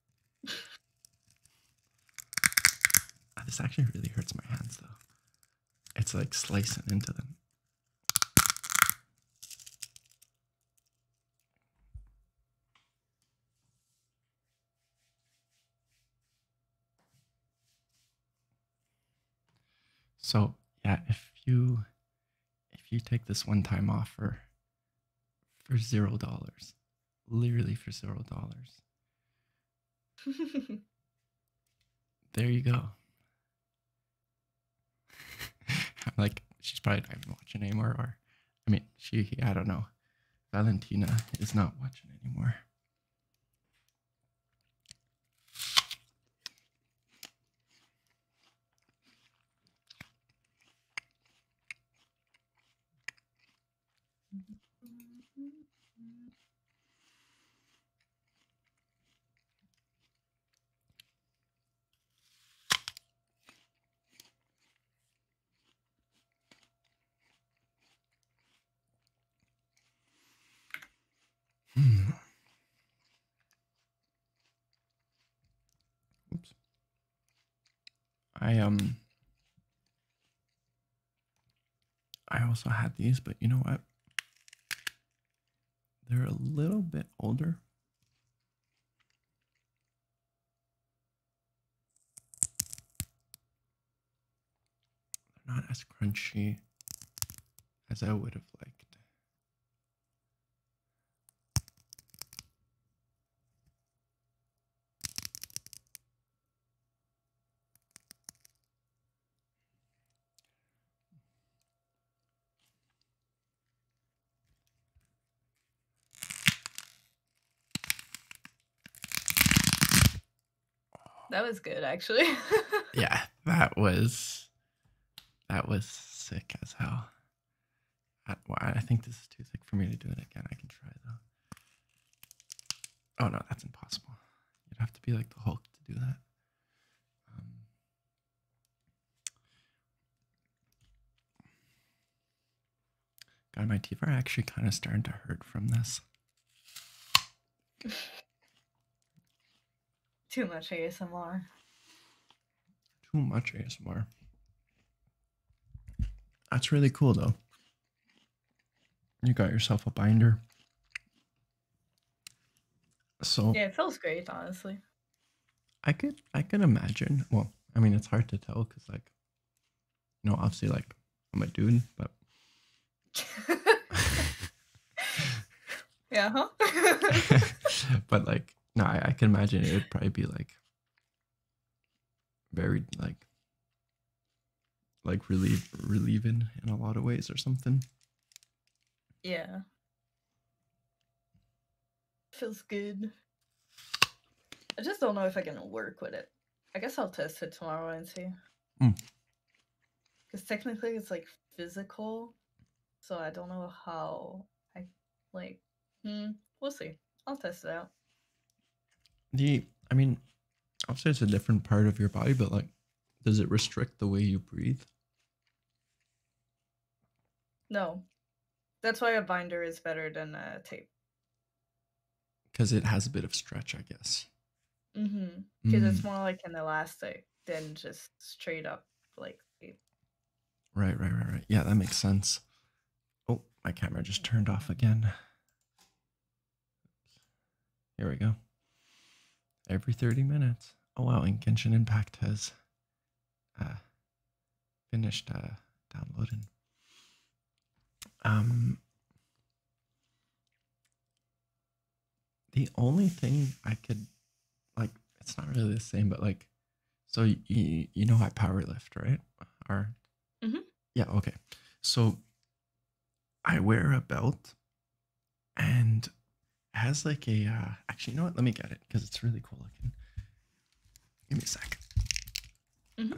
<laughs> this actually really hurts my hands though. It's like slicing into them. So yeah, if you if you take this one time offer for zero dollars. Literally for zero dollars. <laughs> there you go. <laughs> like she's probably not even watching anymore or I mean she I don't know. Valentina is not watching anymore. Hmm. Oops. I um I also had these, but you know what? They're a little bit older. They're not as crunchy as I would have liked. That was good, actually. <laughs> yeah, that was that was sick as hell. I, think this is too thick for me to do it again. I can try though. Oh no, that's impossible. You'd have to be like the Hulk to do that. Um, God, my teeth are actually kind of starting to hurt from this. Too much ASMR. Too much ASMR. That's really cool though. You got yourself a binder. So Yeah, it feels great, honestly. I could I could imagine. Well, I mean it's hard to tell because like you know, obviously like I'm a dude, but <laughs> Yeah, huh? <laughs> but like no, I can imagine it would probably be like very like like relieving in a lot of ways or something. Yeah. Feels good. I just don't know if I can work with it. I guess I'll test it tomorrow and see. Because hmm. technically it's like physical, so I don't know how I like Hmm. We'll see. I'll test it out. The I mean, obviously it's a different part of your body, but like, does it restrict the way you breathe? No. That's why a binder is better than a tape. Because it has a bit of stretch, I guess. Mm-hmm. Because it's mm. more like an elastic than just straight up like tape. Right, right, right, right. Yeah, that makes sense. Oh, my camera just turned off again. Here we go. Every 30 minutes. Oh wow, and Genshin Impact has uh, finished uh, downloading. Um, the only thing I could, like, it's not really the same, but like, so you you know I power lift, right? Or mm-hmm. yeah, okay. So I wear a belt and has like a uh, actually you know what? Let me get it because it's really cool looking. Give me a sec. Mm-hmm.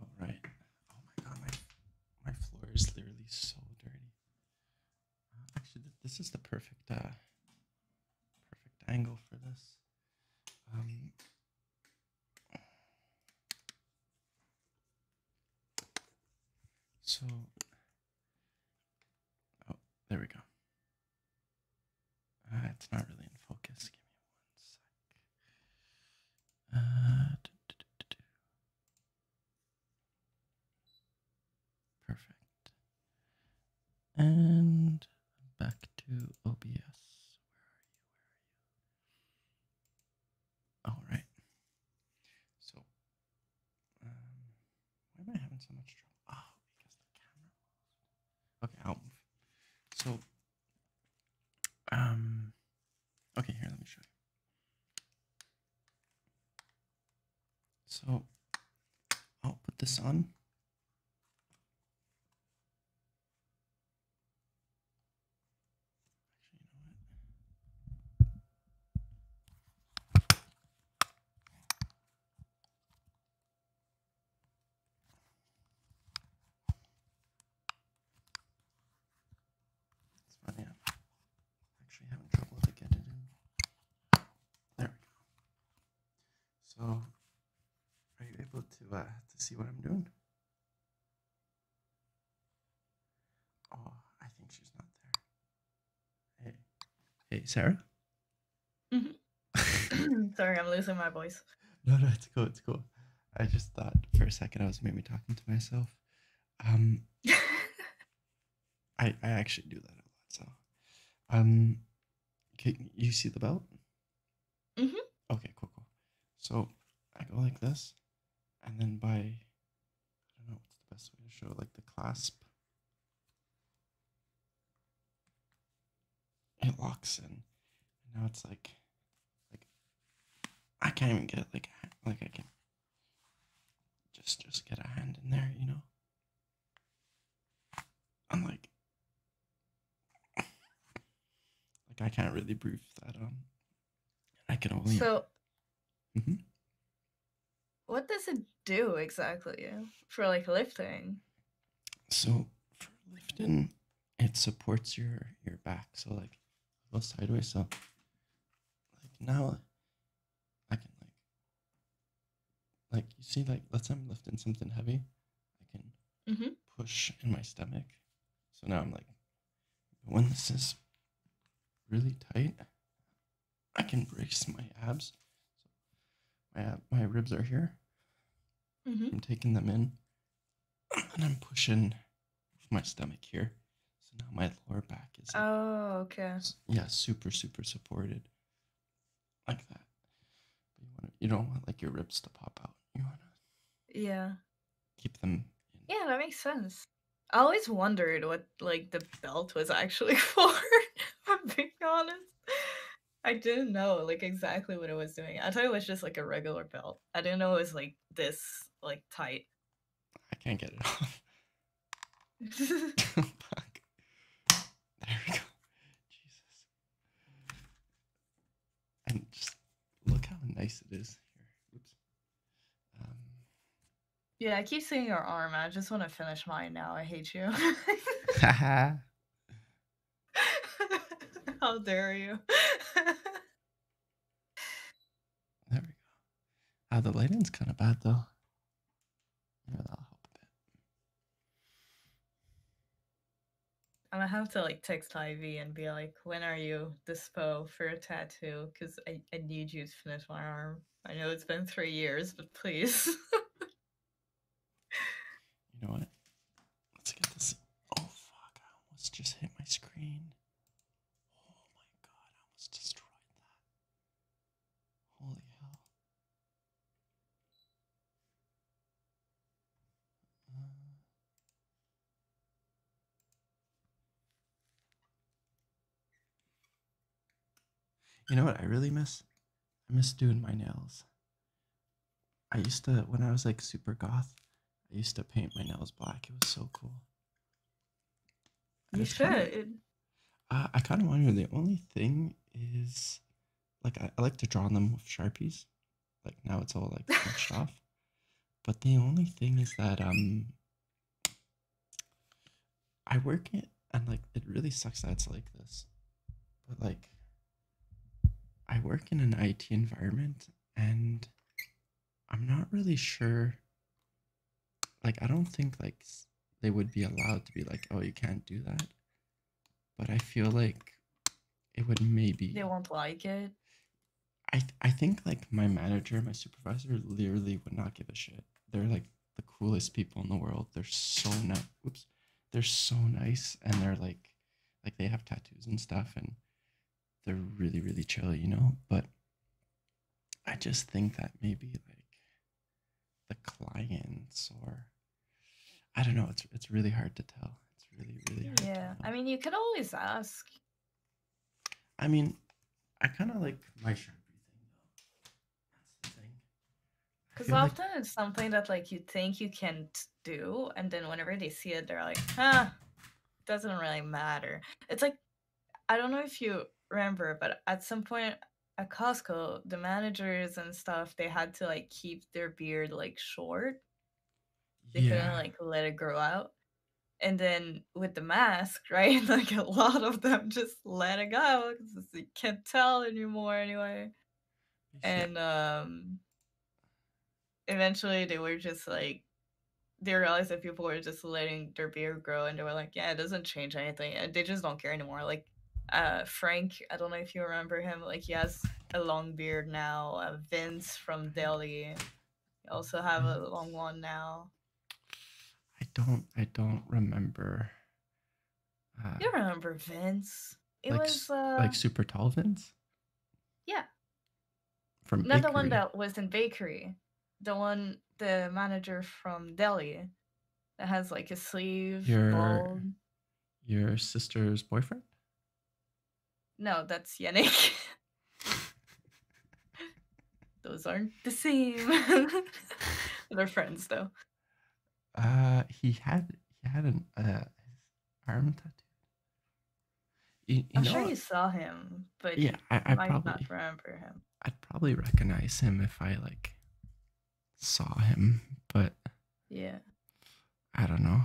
All oh, my god, my my floor is literally so dirty. Uh, actually, this is the perfect uh, perfect angle for this. Um, so, oh, there we go. Uh, it's not really in focus. Give me one sec. Uh, Perfect. And back to OBS. All right. So, um, why am I having so much trouble? Oh, because the camera. Okay, I'll move. So, um, okay, here, let me show you. So, I'll put this on. Actually, you know what? actually having trouble to get it in. There we go. So, are you able to uh, to see what I'm doing? Oh, I think she's not there. Hey, hey, Sarah. Mm-hmm. <laughs> Sorry, I'm losing my voice. No, no, it's cool. It's cool. I just thought for a second I was maybe talking to myself. Um, <laughs> I I actually do that a lot. So, um, can you see the belt? Mm-hmm. Okay, cool, cool. So I go like this, and then by I don't know what's the best way to show like the clasp. It locks in. now it's like like I can't even get like like I can just just get a hand in there, you know? I'm like like I can't really prove that on. Um, I can only. So. hmm What does it do exactly for like lifting? So for lifting, it supports your your back. So like, I go sideways. So like now, I can like like you see like let's say I'm lifting something heavy, I can mm-hmm. push in my stomach. So now I'm like when this is really tight, I can brace my abs. my my ribs are here. Mm-hmm. I'm taking them in, and I'm pushing my stomach here. So now my lower back is. Oh, okay. Yeah, super super supported, like that. You want you don't want like your ribs to pop out. You want to. Yeah keep them. Yeah, that makes sense. I always wondered what like the belt was actually <laughs> for. I'm being honest. I didn't know like exactly what it was doing. I thought it was just like a regular belt. I didn't know it was like this like tight. I can't get it off. <laughs> <laughs> Fuck. There we go. Jesus and just look how nice it is here. Um, yeah, I keep seeing your arm. I just want to finish mine now. I hate you. <laughs> <laughs> how dare you? <laughs> there we go. Ah, the lighting's kind of bad though. Yeah, that'll help a bit. I'm gonna have to like text Ivy and be like, when are you dispo for a tattoo? Because I, I need you to finish my arm. I know it's been three years, but please. <laughs> you know what? Let's get this. Oh fuck! I almost just hit my screen. Oh my god! I almost destroyed that. Holy hell! Uh, you know what I really miss? I miss doing my nails. I used to, when I was like super goth, I used to paint my nails black. It was so cool. you should. I kind of want wonder the only thing is, like, I like to draw them with Sharpies. Like now it's all like crunched off. But the only thing is that um I work it and like it really sucks that it's like this. But like I work in an IT environment and I'm not really sure like I don't think like they would be allowed to be like, oh, you can't do that. But I feel like it would maybe. They won't like it. I I think like my manager, my supervisor, literally would not give a shit. They're like the coolest people in the world. They're so nice. Oops, they're so nice, and they're like, like they have tattoos and stuff, and they're really really chill, you know. But I just think that maybe like the clients or I don't know. It's it's really hard to tell. It's really really Yeah, I mean, you could always ask. I mean, I kind of like my Sharpie thing though. That's the thing. Because often it's something that like you think you can not do, and then whenever they see it, they're like, "Huh, doesn't really matter." It's like I don't know if you remember, but at some point at Costco, the managers and stuff they had to like keep their beard like short. They couldn't like let it grow out and then with the mask <laughs> right like a lot of them just let it go because they can't tell anymore anyway and um eventually they were just like they realized that people were just letting their beard grow and they were like yeah it doesn't change anything they just don't care anymore like uh frank i don't know if you remember him like he has a long beard now uh, vince from mm-hmm. delhi you also have a mm. long one now. I don't. I don't remember. Uh, you remember Vince? It like, was uh, like super tall Vince. Yeah. From not the one that was in bakery, the one the manager from Delhi, that has like a sleeve. Your your sister's boyfriend. No, that's Yannick. <laughs> Those aren't the same. <laughs> They're friends though. Uh, he had he had an uh, arm tattoo. I'm sure what? you saw him, but yeah, I, probably, not remember him. I'd probably recognize him if I like saw him, but yeah, I don't know.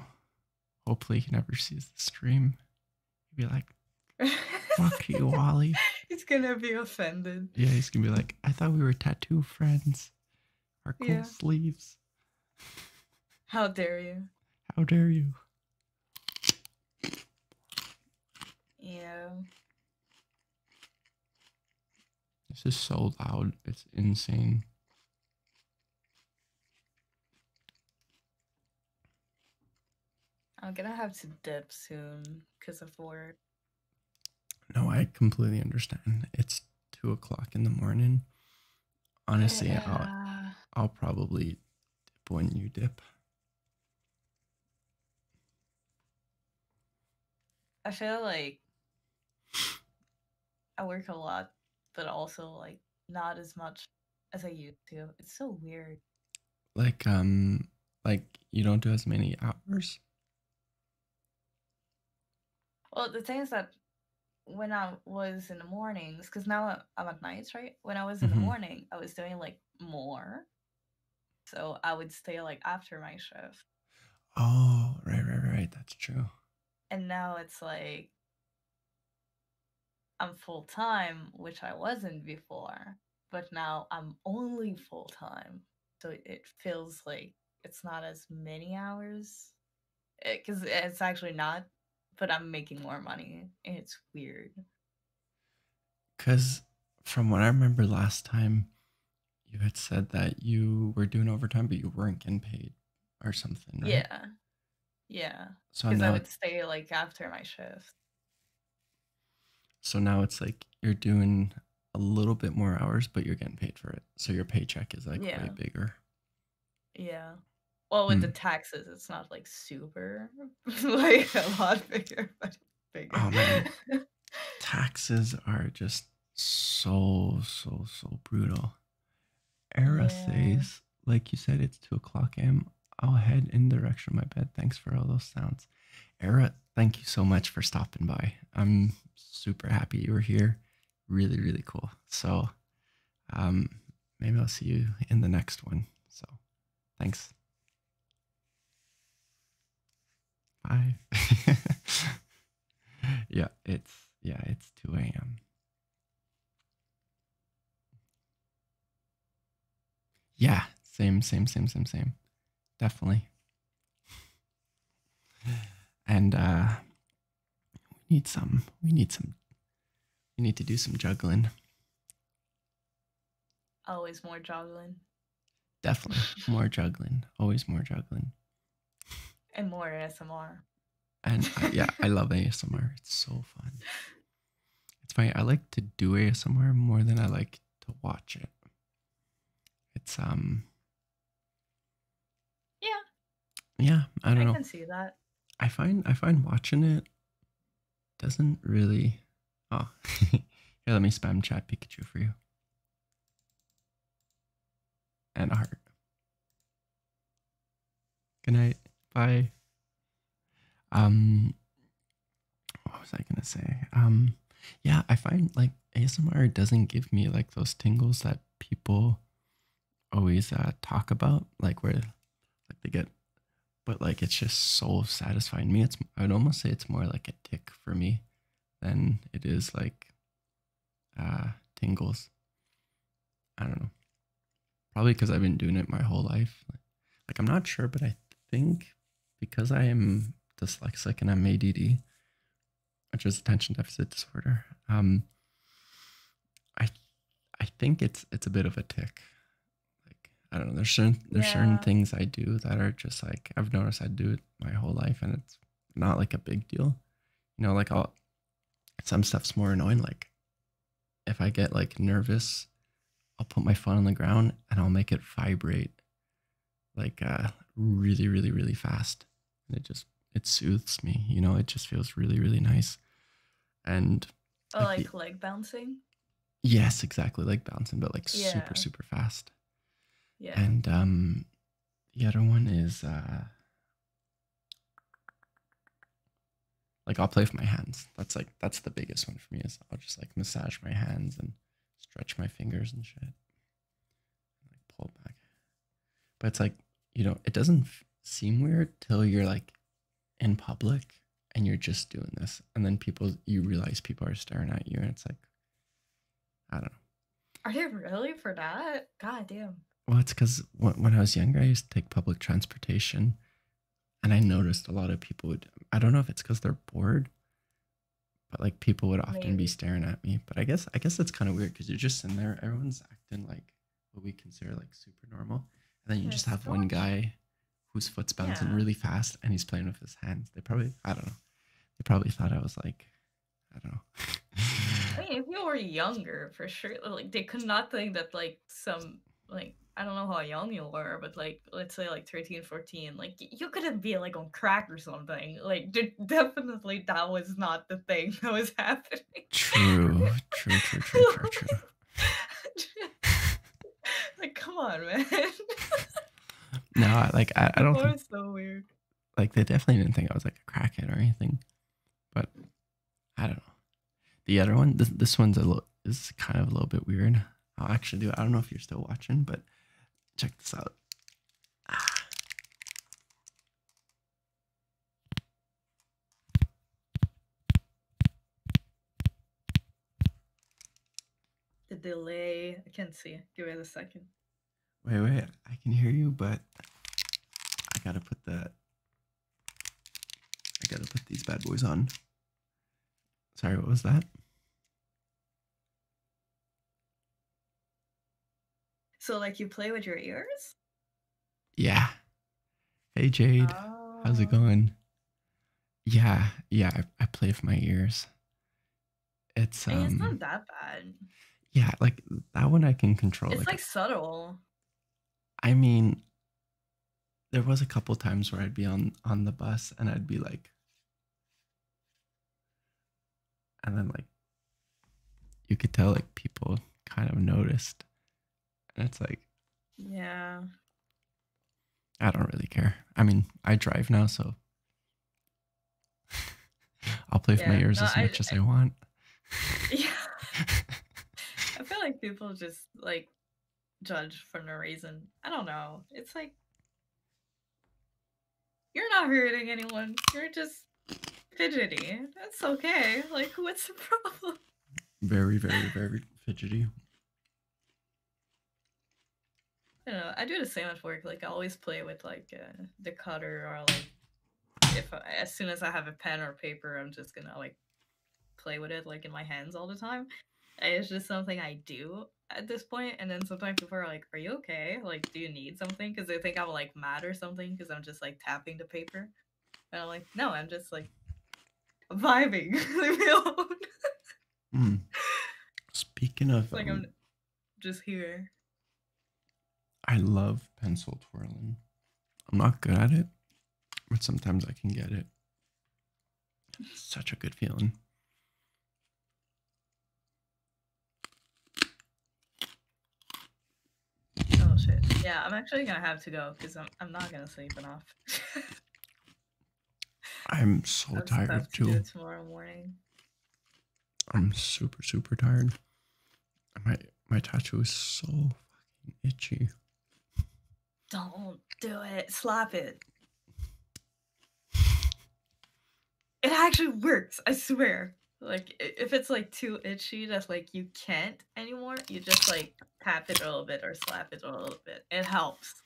Hopefully, he never sees the stream. He'd be like, <laughs> fuck you, Wally. He's gonna be offended. Yeah, he's gonna be like, I thought we were tattoo friends. Our cool sleeves. How dare you? How dare you? Yeah. This is so loud. It's insane. I'm gonna have to dip soon because of work. No, I completely understand. It's two o'clock in the morning. Honestly, I'll I'll probably dip when you dip. I feel like I work a lot, but also like not as much as I used to. It's so weird. Like um like you don't do as many hours? Well, the thing is that when I was in the mornings, because now I'm at nights, right? When I was in the mm-hmm. morning, I was doing like more. So I would stay like after my shift. Oh, right, right, right. That's true. And now it's like I'm full time, which I wasn't before, but now I'm only full time. So it feels like it's not as many hours because eh, it's actually not, but I'm making more money. And it's weird. Because from what I remember last time, you had said that you were doing overtime, but you weren't getting paid or something. Yeah. Yeah. because I would stay like after my shift. so now it's like you're doing a little bit more hours, but you're getting paid for it. So your paycheck is like way bigger. Yeah. Well, with the hmm. taxes, it's not like super <laughs> like a lot bigger, but Oh man, bigger. <laughs> taxes are just so so so brutal. Yeah. RSAs like you said, it's two o'clock am. I'll head in the direction of my bed. Thanks for all those sounds. Era, thank you so much for stopping by. I'm super happy you were here. Really, really cool. So um maybe I'll see you in the next one. So thanks. Bye. <laughs> yeah, it's yeah, it's 2 a.m. Yeah, same, same, same, same, same. Definitely. And uh we need some we need some we need to do some juggling. Always more juggling. Definitely. More juggling. Always more juggling. And more ASMR. And uh, yeah, I love ASMR. It's so fun. It's funny. I like to do ASMR more than I like to watch it. It's um. Yeah. Yeah, I don't know. I can see that. I find I find watching it doesn't really. Oh, <laughs> here, let me spam chat Pikachu for you. And a heart. Good night. Bye. Um, what was I gonna say? Um, yeah, I find like ASMR doesn't give me like those tingles that people always uh, talk about, like where like they get, but like it's just so satisfying me. It's I would almost say it's more like a tick for me than it is like uh, tingles. I don't know. Probably because I've been doing it my whole life. Like, I'm not sure, but I think because I am dyslexic and I'm ADD, which is attention deficit disorder, um, I I think it's it's a bit of a tick. Like I don't know. There's certain there's certain things I do that are just like I've noticed I do it my whole life, and it's not like a big deal. You know, like all some stuff's more annoying. Like if I get like nervous, I'll put my phone on the ground and I'll make it vibrate like uh, really, really, really fast. it just, it soothes me, you know, it just feels really, really nice. And oh, like, leg bouncing? Yes, exactly. Like bouncing, but like super, super fast. Yeah. And um, the other one is uh, like I'll play with my hands. That's like that's the biggest one for me is I'll just like massage my hands and stretch my fingers and shit. like pull back. But it's like, you know, it doesn't seem weird till you're like in public and you're just doing this. And then people you realize people are staring at you and it's like I don't know. Are you really for that? God damn. Well, it's because when I was younger, I used to take public transportation and I noticed a lot of people would I don't know if it's because they're bored, but like people would often be staring at me. But I guess I guess that's kind of weird because you're just in there, everyone's acting like what we consider like super normal. And then you just have one guy whose foot's bouncing really fast and he's playing with his hands. They probably I don't know. They probably thought I was like I don't know. I mean, if you were younger, for sure, like they could not think that like some like I don't know how young you were, but like let's say like 13, 14, like you couldn't be like on crack or something. Like definitely that was not the thing that was <laughs> happening. True, true, true, true, true, <laughs> <laughs> like come on, man. no, like I, don't. That think, so weird. Like they definitely didn't think I was like a crackhead or anything, but I don't know. The other one, this, this one's a little, is kind of a little bit weird. I'll actually do it. I don't know if you're still watching, but check this out. The delay. I can't see. Give me a second. Wait, wait. I can hear you, but I gotta put the I gotta put these bad boys on. Sorry, what was that? So, like, you play with your ears? Yeah. Hey, Jade. How's it oh. going? Yeah, yeah, I, play with my ears. It's, um, it's not that bad. Yeah, like that one I can control. It's like subtle. I mean, there was a couple times where I'd be on on the bus and I'd be like and then like you could tell like people kind of noticed and it's like yeah I don't really care. I mean, I drive now so <laughs> I'll play with my ears as much as I, I want. <laughs> yeah. <laughs> I feel like people just like judge for no reason. I don't know. It's like you're not hurting anyone. You're just fidgety. That's okay. Like, what's the <laughs> problem? Very, very, very fidgety. I do know. I do the same at work. Like, I always play with like uh, the cutter or like if as soon as I have a pen or paper, I'm just gonna like play with it like in my hands all the time. It's just something I do at this point. And then sometimes people are like, "Are you okay? Like, do you need something?" Because they think I'm like mad or something because I'm just like tapping the paper. And I'm like, "No, I'm just like vibing." <laughs> Hmm. <laughs> Speaking of, like, I'm um, just here. I love pencil twirling. I'm not good at it, but sometimes I can get it. such a good feeling. Oh shit! Yeah, I'm actually gonna have to go because I'm I'm not gonna sleep enough. <laughs> I'm so tired too. tomorrow morning. I'm super super tired. My my tattoo is so fucking itchy. Don't do it. Slap it. It actually works, I swear. Like if it's like too itchy that like you can't anymore, you just like tap it a little bit or slap it a little bit. It helps.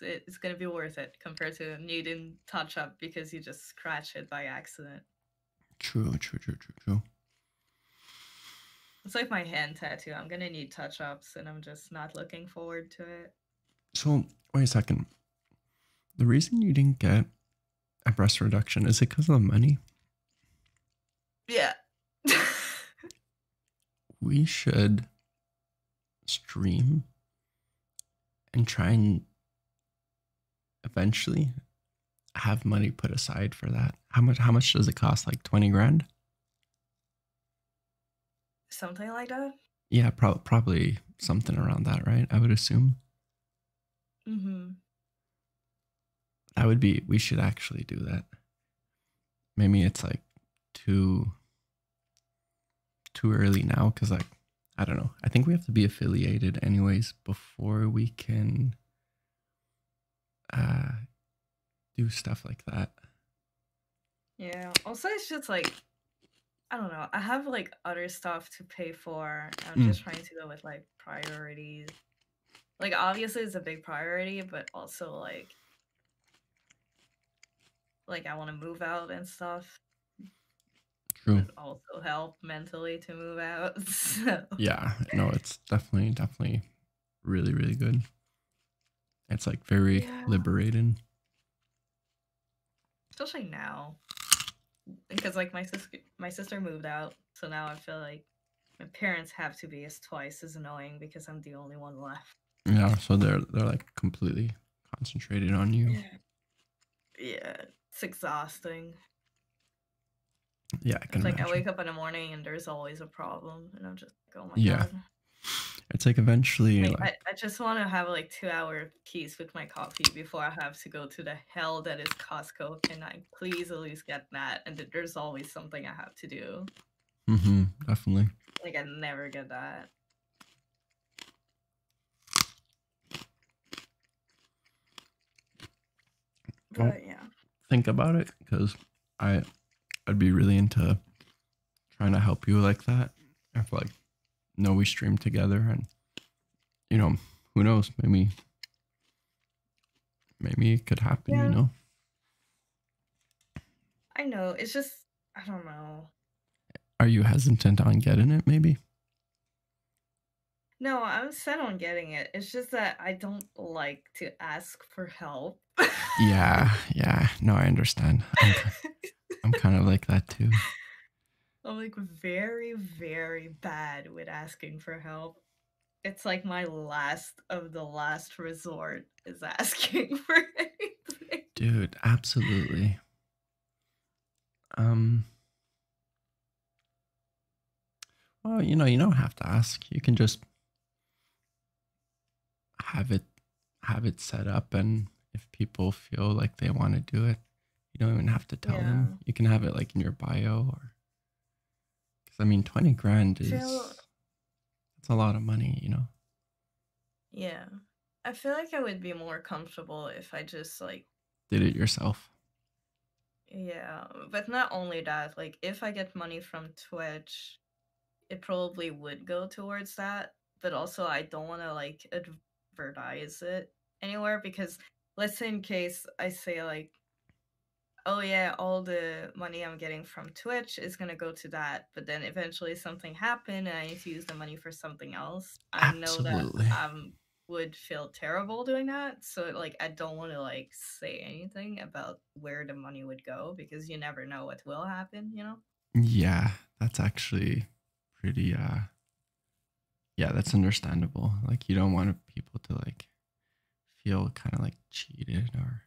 It's gonna be worth it compared to needing touch up because you just scratch it by accident. True, true, true, true, true. It's like my hand tattoo. I'm gonna need touch ups, and I'm just not looking forward to it. So wait a second. The reason you didn't get a breast reduction is it because of money? Yeah. <laughs> we should stream and try and eventually have money put aside for that. How much how much does it cost? Like 20 grand? Something like that? Yeah, probably something around that, right? I would assume. Mm-hmm. That would be we should actually do that. Maybe it's like too too early now because like I don't know. I think we have to be affiliated anyways before we can uh, do stuff like that. Yeah. Also, it's just like I don't know. I have like other stuff to pay for. I'm hmm. just trying to go with like priorities. Like obviously, it's a big priority, but also like like I want to move out and stuff. True. also help mentally to move out. <laughs> Yeah, no, it's definitely, definitely really, really good. It's like very liberating. Especially now. Because like my sister my sister moved out, so now I feel like my parents have to be as twice as annoying because I'm the only one left. Yeah, so they're they're like completely concentrated on you. yeah it's exhausting. Yeah, like I wake up in the morning and there's always a problem, and I'm just like, oh my yeah. It's like eventually. I, just want to have like two hour peace with my coffee before I have to go to the hell that is Costco. Can I please at least get that? And there's always something I have to do. Mm-hmm. Definitely. Like I never get that think about it because I I'd be really into trying to help you like that. I feel like know we stream together and you know, who knows, maybe maybe it could happen, you know. I know. It's just I don't know. Are you hesitant on getting it maybe? No, I'm set on getting it. It's just that I don't like to ask for help. yeah, yeah. No, I understand. I'm, <laughs> kind of like that too. I'm like very, very bad with asking for help. It's like my last of the last resort is asking <laughs> for anything. Dude, absolutely. Um well, you know, you don't have to ask. You can just have it have it set up and if people feel like they want to do it, you don't even have to tell them. You can have it like in your bio or cuz I mean 20 grand is that's a lot of money, you know. Yeah. I feel like I would be more comfortable if I just like did it yourself. Yeah, but not only that, like if I get money from Twitch, it probably would go towards that, but also I don't want to like advertise it anywhere because let's say in case I say like oh yeah, all the money I'm getting from Twitch is gonna go to that, but then eventually something happened and I need to use the money for something else. I Absolutely. know that would feel terrible doing that. So like I don't want to like say anything about where the money would go because you never know what will happen, you know? Yeah, that's actually pretty uh yeah, that's understandable. Like you don't want people to like feel kind of like cheated or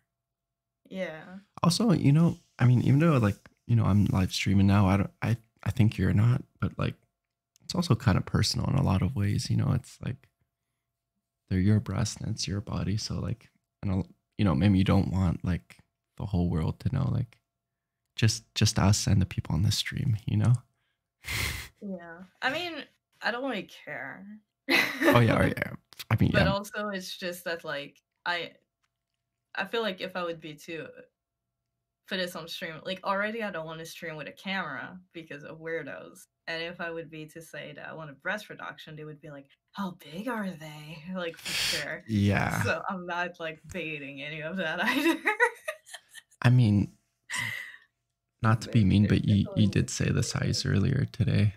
Yeah. Also, you know, I mean even though like, you know, I'm live streaming now, I don't I I think you're not, but like it's also kind of personal in a lot of ways. You know, it's like they're your breasts and it's your body. So like, and you know, maybe you don't want like the whole world to know, like just just us and the people on the stream. You know. yeah, I mean, I don't really care. oh yeah, oh, <laughs> yeah. I mean, but also it's just that like I, I feel like if I would be too put this on stream. Like already I don't want to stream with a camera because of weirdos. And if I would be to say that I want a breast reduction, they would be like, "How big are they?" <laughs> Like for sure. Yeah. So I'm not like baiting any of that <laughs> either. I mean, not to be mean, but you you did say the size <laughs> earlier today.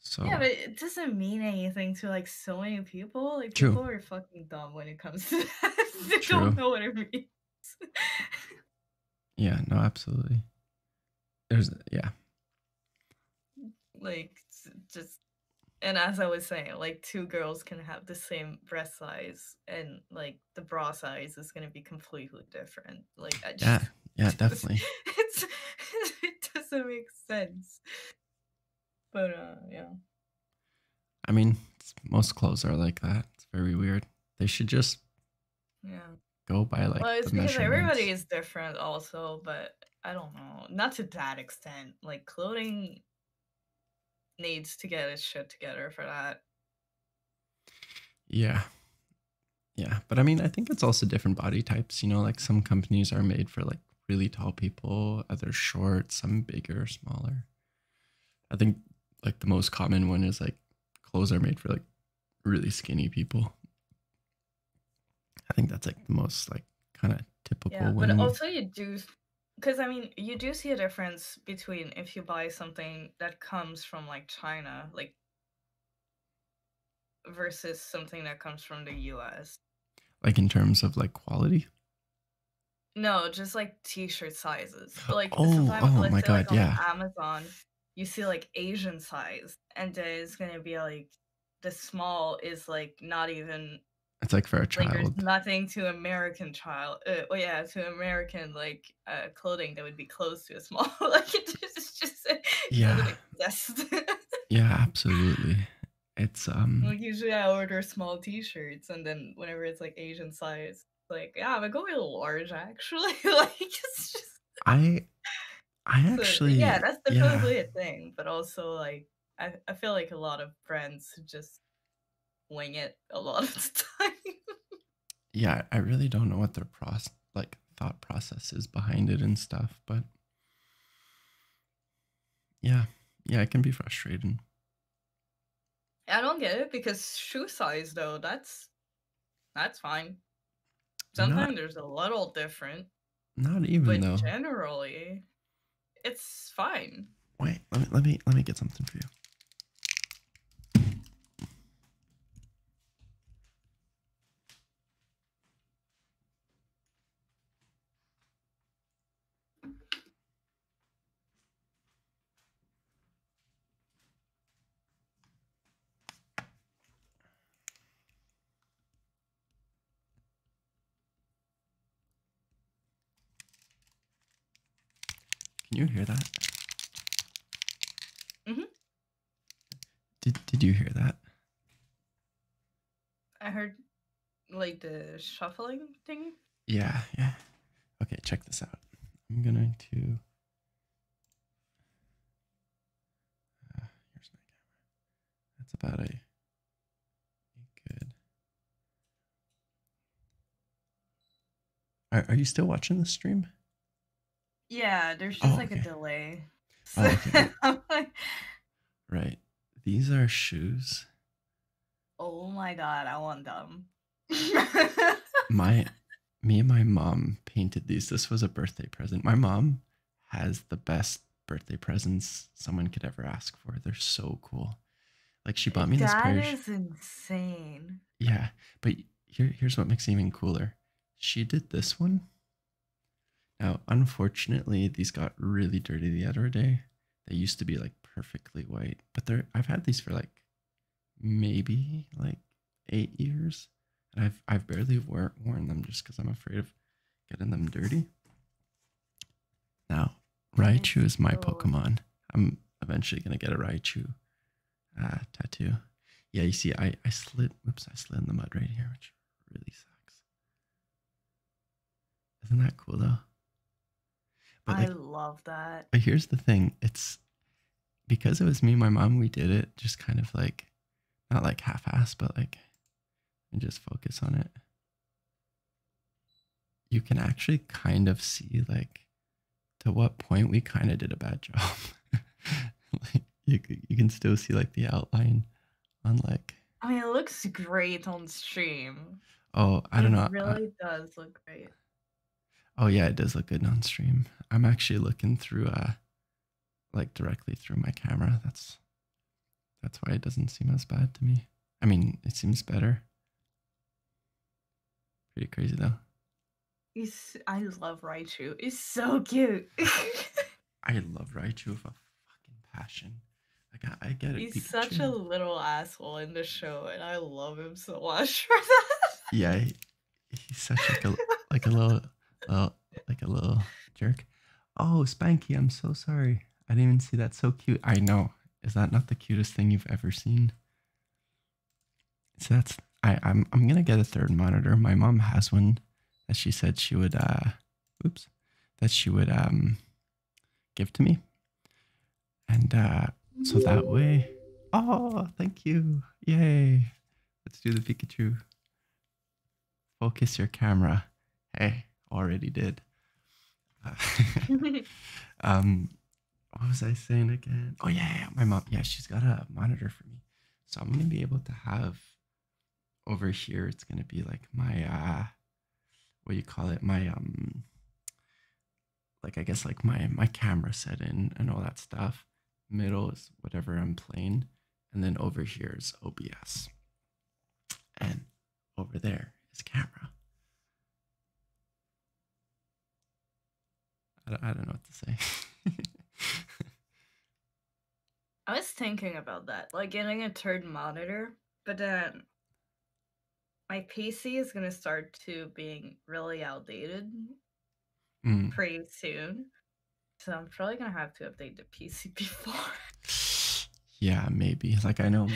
So yeah, but it doesn't mean anything to like so many people. Like people are fucking dumb when it comes to that. they don't know what it means. <laughs> yeah, no, absolutely. There's yeah. Like just and as I was saying, like two girls can have the same breast size and like the bra size is gonna be completely different. Like I Yeah, yeah, <laughs> definitely. it doesn't make sense. But uh yeah. I mean, most clothes are like that. It's very weird. They should just yeah. Go by like. Well, it's because everybody is different, also, but I don't know. Not to that extent. Like clothing needs to get its shit together for that. Yeah. Yeah. But I mean, I think it's also different body types. You know, like some companies are made for like really tall people, others short, some bigger, smaller. I think like the most common one is like clothes are made for like really skinny people. I think that's like the most like kind of typical. Yeah, but also you do, because I mean you do see a difference between if you buy something that comes from like China, like versus something that comes from the U.S. Like in terms of like quality. No, just like t-shirt sizes. Oh, oh, my god, yeah. Amazon, you see like Asian size, and it's gonna be like the small is like not even. It's like for a child. nothing to American child. Uh, yeah, to American like uh, clothing that would be close to a small. <laughs> like it just, it's just yeah. yeah, <laughs> absolutely. It's um. usually I order small T-shirts, and then whenever it's like Asian size, like, yeah, I'm gonna large actually. <laughs> like it's just I I actually Yeah, that's definitely a thing. But also like I, I feel like a lot of brands just wing it a lot of the <laughs> time. yeah, I really don't know what their process like thought process is behind it and stuff, but yeah, yeah, it can be frustrating. I don't get it because shoe size though, that's that's fine. Sometimes there's a little different. Not even but though. Generally, it's fine. Wait, let me let me let me get something for you. Can you hear that? Mm-hmm. Did did you hear that? I heard like the shuffling thing. Yeah, yeah. Okay, check this out. I'm going to Ah, here's my camera. That's about a, good. Are, are you still watching the stream? Yeah, there's just oh, like a delay. Oh, <laughs> right. These are shoes. Oh my god, I want them. <laughs> my me and my mom painted these. This was a birthday present. My mom has the best birthday presents someone could ever ask for. They're so cool. Like she bought me this pair. That is insane. Yeah, but here's what makes even cooler. She did this one. Now, unfortunately, these got really dirty the other day. They used to be like perfectly white, but they're I've had these for like maybe like eight years, and I've I've barely wear, worn them just because I'm afraid of getting them dirty. Now, Raichu is my oh. Pokemon. I'm eventually gonna get a Raichu uh, tattoo. Yeah, you see, I I slid. Oops, I slid in the mud right here, which really sucks. Isn't that cool though? But I love that. But here's the thing: it's because it was me and my mom, we did it just kind of like not like half ass, but like and just focus on it. You can actually kind of see like to what point we kind of did a bad job. <laughs> like you you can still see like the outline on like I mean, it looks great on stream. Oh, I don't know. really does look great. Oh yeah, it does look good on stream. I'm actually looking through uh like directly through my camera. That's that's why it doesn't seem as bad to me. I mean, it seems better. Pretty crazy though. He's, I love Raichu. He's so cute. <laughs> I love Raichu for fucking passion. Like I, I get it. He's such a little asshole in the show, and I love him so much <laughs> for that. Yeah, He's such like a like a little oh like a little jerk. Oh, Spanky, I'm so sorry. I didn't even see that. So cute. I know. Is that not the cutest thing you've ever seen? So that's I. I'm I'm gonna get a third monitor. My mom has one that she said she would. Uh, oops, that she would um give to me. And uh, so that way. Oh, thank you. Yay. Let's do the Pikachu. Focus your camera. Hey, already did. <laughs> <laughs> um, what was I saying again? Oh, yeah, my mom. Yeah, she's got a monitor for me. So I'm going to be able to have over here, it's going to be like my, uh, what do you call it? My, um, like I guess like my my camera set in and all that stuff. Middle is whatever I'm playing, and then over here is OBS, and over there is camera. I I don't know what to say. <laughs> I was thinking about that, like getting a third monitor, but then my PC is gonna start to being really outdated Mm. pretty soon. So I'm probably gonna have to update the PC <laughs> before. yeah, maybe. Like I know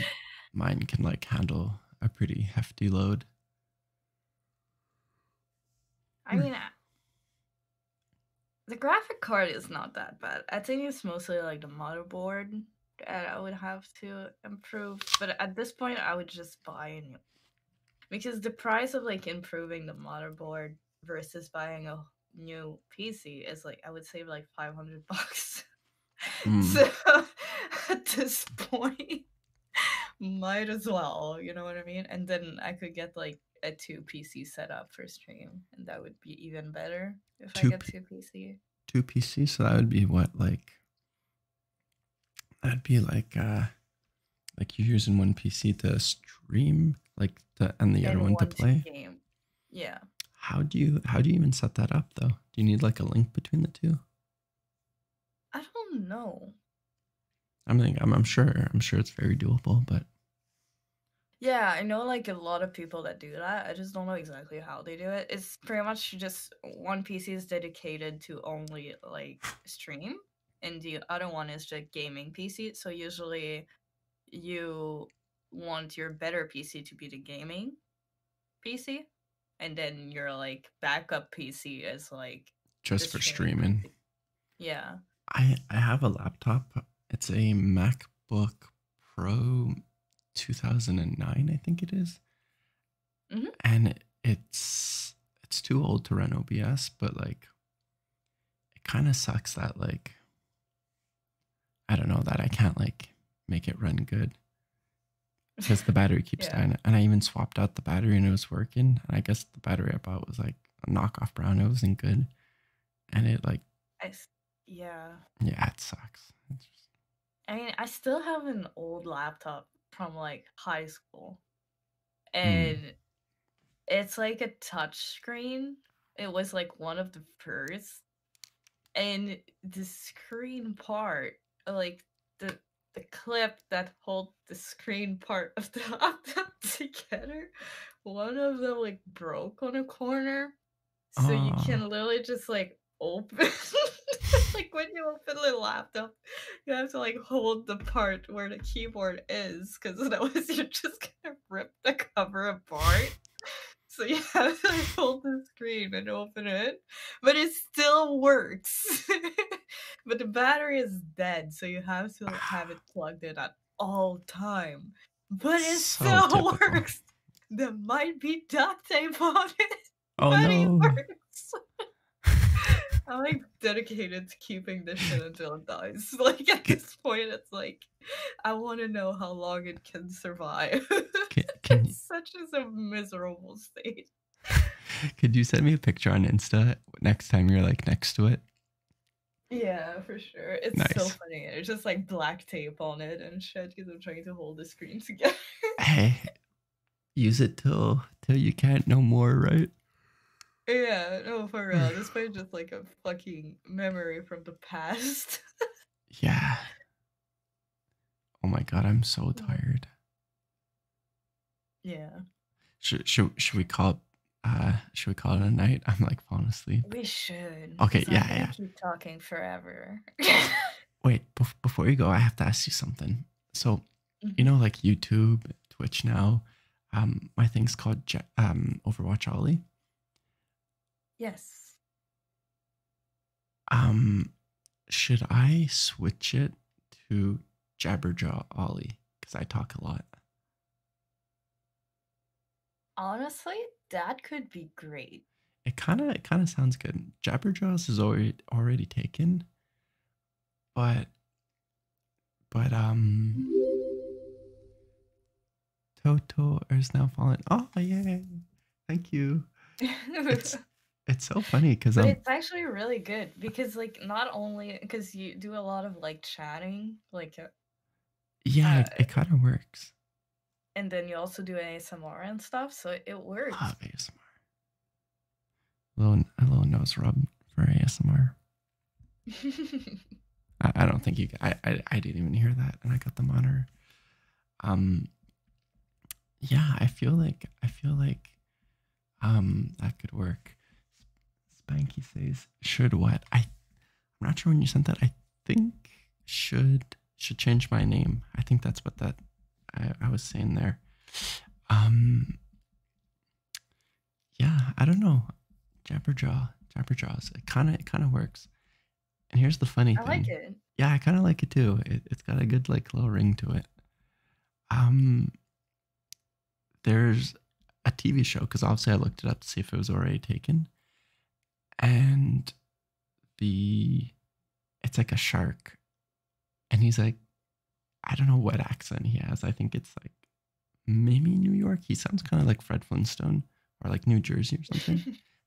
mine can like handle a pretty hefty load. I hmm. mean, the graphic card is not that bad. I think it's mostly like the motherboard that I would have to improve. But at this point, I would just buy a new because the price of like improving the motherboard versus buying a new PC is like I would save like five hundred <laughs> bucks. Hmm. So <laughs> at this point, might as well, you know what I mean? And then I could get like a two PC setup for stream, and that would be even better if I get two PC. Two PC, so that would be what like That'd be like uh like you using one PC to stream like to and the other one, to play. Yeah. How do you how do you even set that up though? Do you need like a link between the two? I don't know. I'm think I'm sure I'm sure it's very doable, but yeah, I know like a lot of people that do that. I just don't know exactly how they do it. It's pretty much just one PC is dedicated to only like stream and the other one is the gaming PC. So usually you want your better PC to be the gaming PC, and then your like backup PC is like just for streaming. Yeah. I I have a laptop. It's a MacBook Pro 2009, I think it is. Mm-hmm. And it's it's too old to run OBS, but like it kind of sucks that like I don't know that I can't like make it run good because <laughs> the battery keeps dying. And I even swapped out the battery and it was working. And I guess the battery I bought was like a knockoff brand; It wasn't good. And it like, yeah, yeah, it sucks. I mean, I still have an old laptop from like high school. Hmm. and it's like a touch screen. It was like one of the first, and the screen part, like the the clip that hold the screen part of the laptop <laughs> together, one of them like broke on a corner, so you ah. can literally just like open <laughs> like when you open the laptop <laughs> you have to like hold the part where the keyboard is because otherwise <laughs> you're just gonna rip the cover apart. so you have to like, hold the screen and open it, but it still works. <laughs> but the battery is dead, so you have to have it <sighs> plugged in at all time. But it still works. There might be duct tape on it, oh, but it works. I'm like dedicated to keeping this shit until it dies. <laughs> Like at this point, it's like I want to know how long it can survive. <laughs> Can, such is a miserable state. <laughs> Could you send me a picture on Insta next time you're like next to it? Yeah, for sure. It's so funny. It's just like black tape on it and shit because I'm trying to hold the screen together. hey, use it till till you can't no more, right? Yeah, no, for real. this might just like a fucking memory from the past. <laughs> yeah. Oh my god, I'm so mm. tired. Yeah. Should should should we call uh should we call it a night? <laughs> I'm like falling asleep. We should. Okay, yeah, yeah. Keep talking forever. Wait, before you go, I have to ask you something. So you know, like YouTube, Twitch now. Um, my thing's called Je- um Overwatch Ollie. Yes. Um, should I switch it to Jabberjaw Ollie? Because I talk a lot. Honestly, that could be great. It kind of it kind of sounds good. Jabberjaw is already already taken, but but um Toto is now fallen. Oh yeah! Thank you. It's <laughs> it's so funny because it's actually really good because like not only because you do a lot of like chatting, like uh, Yeah, it, uh, kind of works. And then you also do ASMR and stuff, so it works. A little, a little nose rub for ASMR. <laughs> I, don't think you. I, I didn't even hear that, and I got the monitor. Um. Yeah, I feel like I feel like, um, that could work. Spanky says, "Should what?" I, I'm not sure when you sent that. I think should should change my name. I think that's what that I, I was saying there. Um yeah, I don't know. Jabberjaw, Jabberjaws. It kind of it kind of works. And here's the funny thing. I like it. Yeah, I kind of like it too. It, it's got a good like little ring to it. Um, there's a TV show because obviously I looked it up to see if it was already taken, and the it's like a shark, and he's like I don't know what accent he has. I think it's like maybe New York. He sounds kind of like Fred Flintstone or like New Jersey or something. <laughs>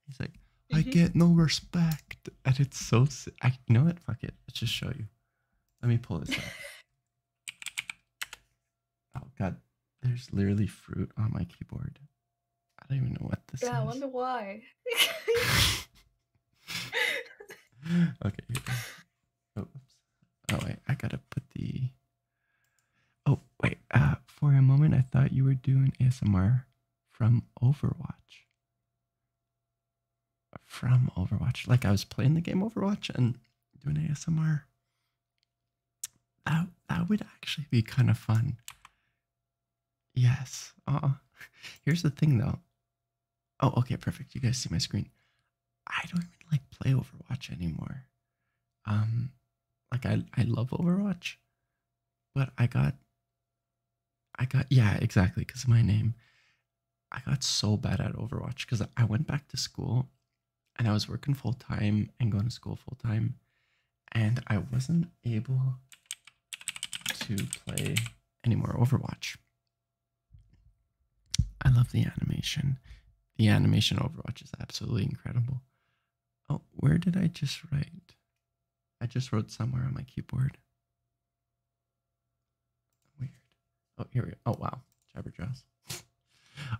He's like, I mm-hmm. get no respect. And it's so, I, know it. Fuck it. Let's just show you. Let me pull this out. <laughs> oh, God. There's literally fruit on my keyboard. I don't even know what this yeah, I wonder why. <laughs> okay. Oops. Oh wait, I gotta put the. Oh wait, uh, for a moment I thought you were doing ASMR from Overwatch. From Overwatch, like I was playing the game Overwatch and doing ASMR. That that would actually be kind of fun. Yes. Uh, here's the thing though. Oh, okay, perfect. You guys see my screen. I don't even like play Overwatch anymore. Um, like I I love Overwatch, but I got I got yeah, exactly, because my name. I got so bad at Overwatch because I went back to school and I was working full time and going to school full time, and I wasn't able to play anymore Overwatch. I love the animation. The animation Overwatch is absolutely incredible. Oh, where did I just write? I just wrote somewhere on my keyboard. Weird. Oh, here we go. Oh, wow. Jabberjaws.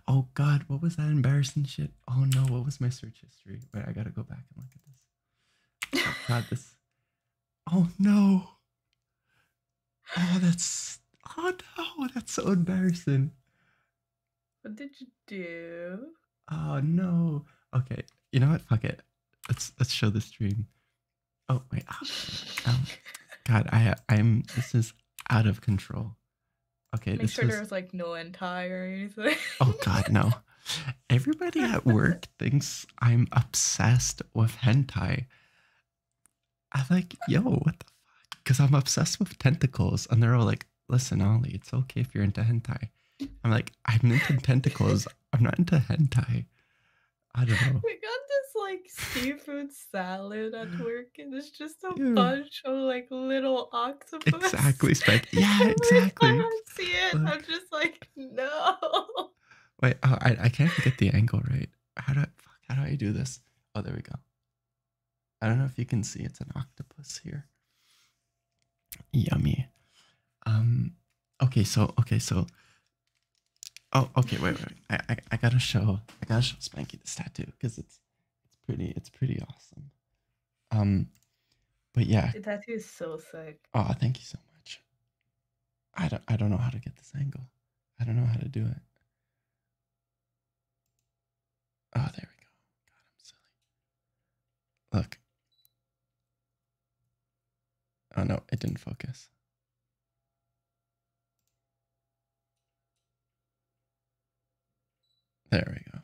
oh, God. What was that embarrassing shit? Oh, no. What was my search history? Wait, I gotta go back and look at this. Oh, God, this. Oh no. Oh, that's. Oh no, that's so embarrassing. What did you do? Oh no. Okay, you know what? Fuck it. Let's let's show the stream. Oh wait. Oh, um, God, I I'm. This is out of control. Okay. Make sure was... like no end or anything. oh God, no. Everybody at work <laughs> thinks I'm obsessed with hentai. I'm like, yo, what the fuck? Because I'm obsessed with tentacles, and they're all like, listen, Ollie, it's okay if you're into hentai. I'm like, I'm into <laughs> tentacles. I'm not into hentai. I don't know. We got this like seafood salad at work, and it's just a bunch of like little octopus. Exactly, Spike. <laughs> Yeah, exactly. I When not see it, I'm just like, no. Wait, oh, I I can't get the angle right how do I, fuck, how do I do this? Oh, there we go. I don't know if you can see it's an octopus here. Yummy. Um. Okay. So. Okay. So. Oh. Okay. Wait. Wait. I. I, I gotta show. I gotta show Spanky this tattoo because it's. It's pretty. It's pretty awesome. Um. But yeah. The tattoo is so sick. Oh, thank you so much. I don't. I don't know how to get this angle. I don't know how to do it. Oh, there we go. God, I'm silly. Look. Oh no, it didn't focus. There we go.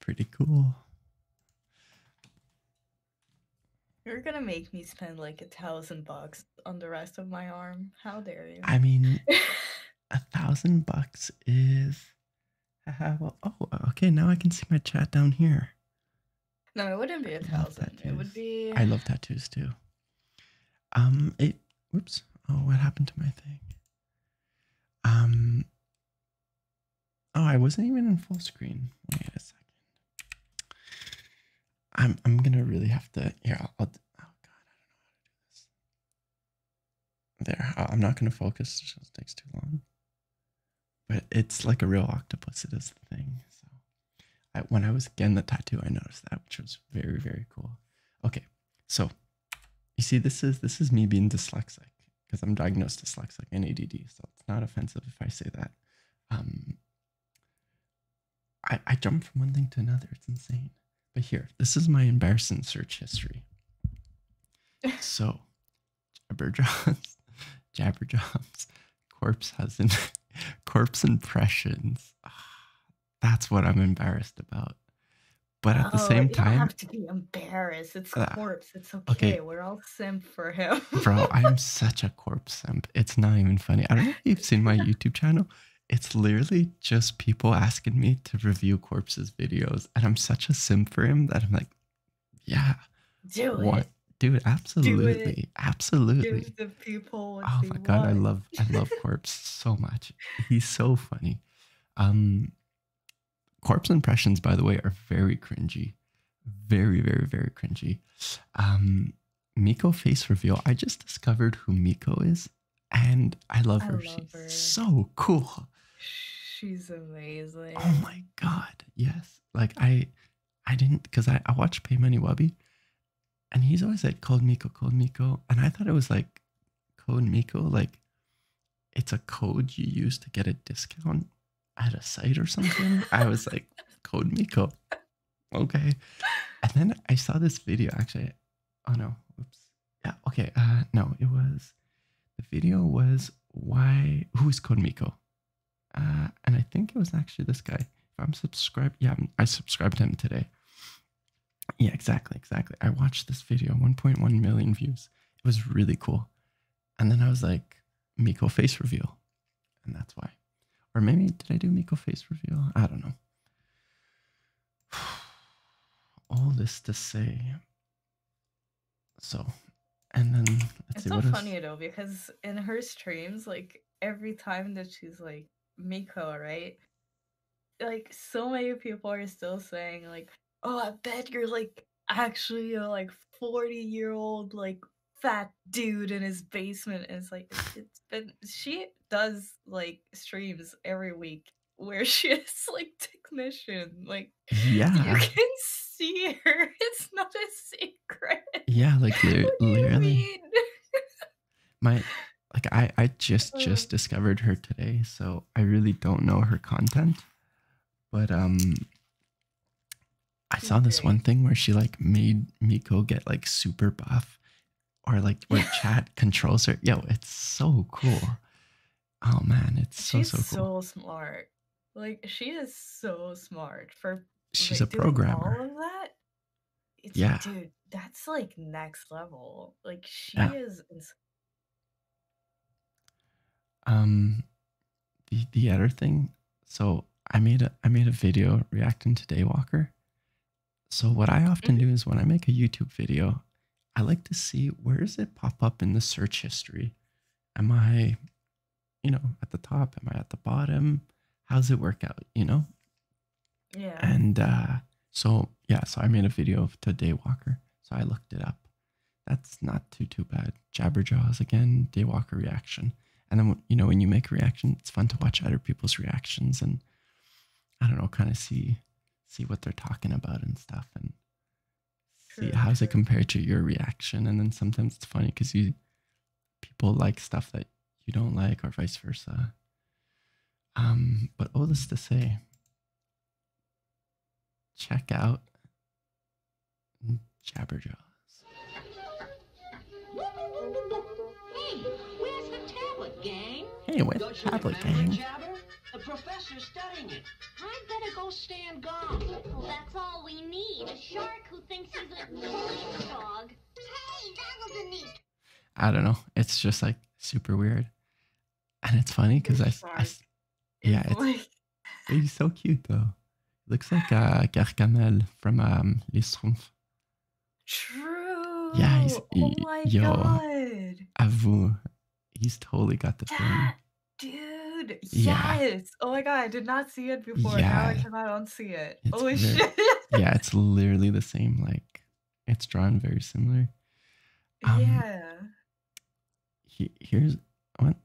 Pretty cool. You're gonna make me spend like a thousand bucks on the rest of my arm. How dare you? I mean, <laughs> a thousand bucks is. Uh, well, oh, okay. Now I can see my chat down here. No, it wouldn't be a I thousand. It would be. I love tattoos too. Um, it. Oops. Oh, what happened to my thing? Um. Oh, I wasn't even in full screen. Wait a second. I'm I'm gonna really have to. Yeah. I'll. oh God, I don't know how to do this. There, I'm not gonna focus. It takes too long. But it's like a real octopus. It is the thing. So, when I was getting the tattoo, I noticed that, which was very very cool. Okay, so you see, this is this is me being dyslexic because I'm diagnosed dyslexic and ADD, so it's not offensive if I say that. Um, I I jump from one thing to another. It's insane. But here, this is my embarrassing search history. <laughs> so, Jabberjaws, <laughs> Jabberjaws, corpse husband, <laughs> corpse impressions. Ah, that's what I'm embarrassed about. But at the oh, same time, you have to be embarrassed. It's uh, corpse. It's okay. We're all simp for him. Bro, I'm <laughs> such a corpse simp. It's not even funny. I don't know if you've seen my YouTube channel. It's literally just people asking me to review corpses videos, and I'm such a simp for him that I'm like, yeah, do it. What? Dude, absolutely, absolutely. Give the people. oh my god, I love, I love Corpse so much. He's so funny. Um, corpse impressions, by the way, are very cringy. Very, very, very cringy. Um, Miko face reveal. I just discovered who Miko is, and I love her. She's so cool. She's amazing. Oh my god, yes. Like I, I didn't because I I watched Pay Money Wabi, and he's always like called Miko, called Miko, and I thought it was like Code Miko, like it's a code you use to get a discount at a site or something. I was <laughs> like, Code Miko. Okay. And then I saw this video actually. Oh no. Oops. Yeah. Okay. Uh, no, it was the video was why who is Code Miko? Uh, and I think it was actually this guy. If I'm subscribed, yeah, I subscribed him today. Yeah, exactly, exactly. I watched this video, 1.1 million views. It was really cool. And then I was like, Miko face reveal. And that's why. Or maybe did I do Miko face reveal? I don't know. <sighs> All this to say. So, and then it's see, so funny though because in her streams, like every time that she's like Miko, right? Like so many people are still saying like oh, I bet you're like actually a like 40 year old like fat dude in his basement. And it's like it's been she does like streams every week where <laughs> she is like technician. Like yeah, you can see her. <laughs> It's not a secret. Yeah, like <laughs> literally. my like I I just uh. just discovered her today, so I really don't know her content. But um I saw this one thing where she like made Miko get like super buff or like <laughs> chat controls her. Yo, it's so cool. Oh man, it's so so cool. so smart. Like she is so smart for she's a programmer. All of that. yeah, dude, that's like next level. Like she is um, the the other thing, so I made a I made a video reacting to Daywalker. So what I often mm-hmm. do is when I make a YouTube video, I like to see where does it pop up in the search history. Am I, you know, at the top? Am I at the bottom? How's it work out? You know. Yeah. And uh, so yeah, so I made a video of to Daywalker. So I looked it up, that's not too too bad. Jabberjaws again, Daywalker reaction, and then you know when you make a reaction, it's fun to watch other people's reactions and I don't know, kind of see see what they're talking about and stuff, and see how's it compared to your reaction. And then sometimes it's funny because you people like stuff that you don't like or vice versa. Um, but all this to say, check out Jabberjaws. Hey, where's the tablet, gang? Hey, where's Don't the tablet, gang? The professor's studying it. i better go stand guard. That's all we need. A shark who thinks he's a police dog. Hey, that was neat. I don't know. It's just like super weird. And it's funny because I, I, yeah, <laughs> it's, he's so cute though. Looks like uh, Gargamel from um, Les Schtroumpfs. True. Yeah, he's oh my God. Avoue, he's totally got the thing. Dude, yes. Oh my god, I did not see it before. Yeah. Now I not see it. It's Holy shit. yeah, it's <laughs> literally the same. Like, it's drawn very similar. Um, yeah here's what?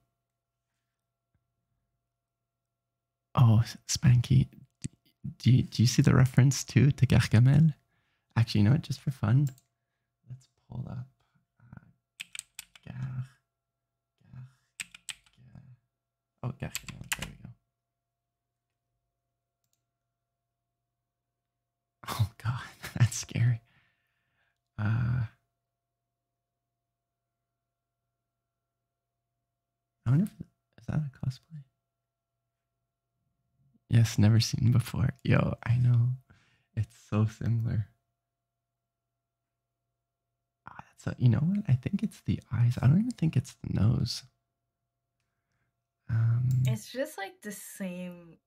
Oh, Spanky, do, you see the reference to to Gargamel? Actually, you know what? Just for fun, let's pull up. Uh, oh, Gargamel. There we go. <laughs> Oh god, <laughs> that's scary. Uh I wonder if is that a cosplay? Yes, never seen before. Yo, I know. It's so similar. Ah, you know what? I think it's the eyes. I don't even think it's the nose. Um, it's just like the same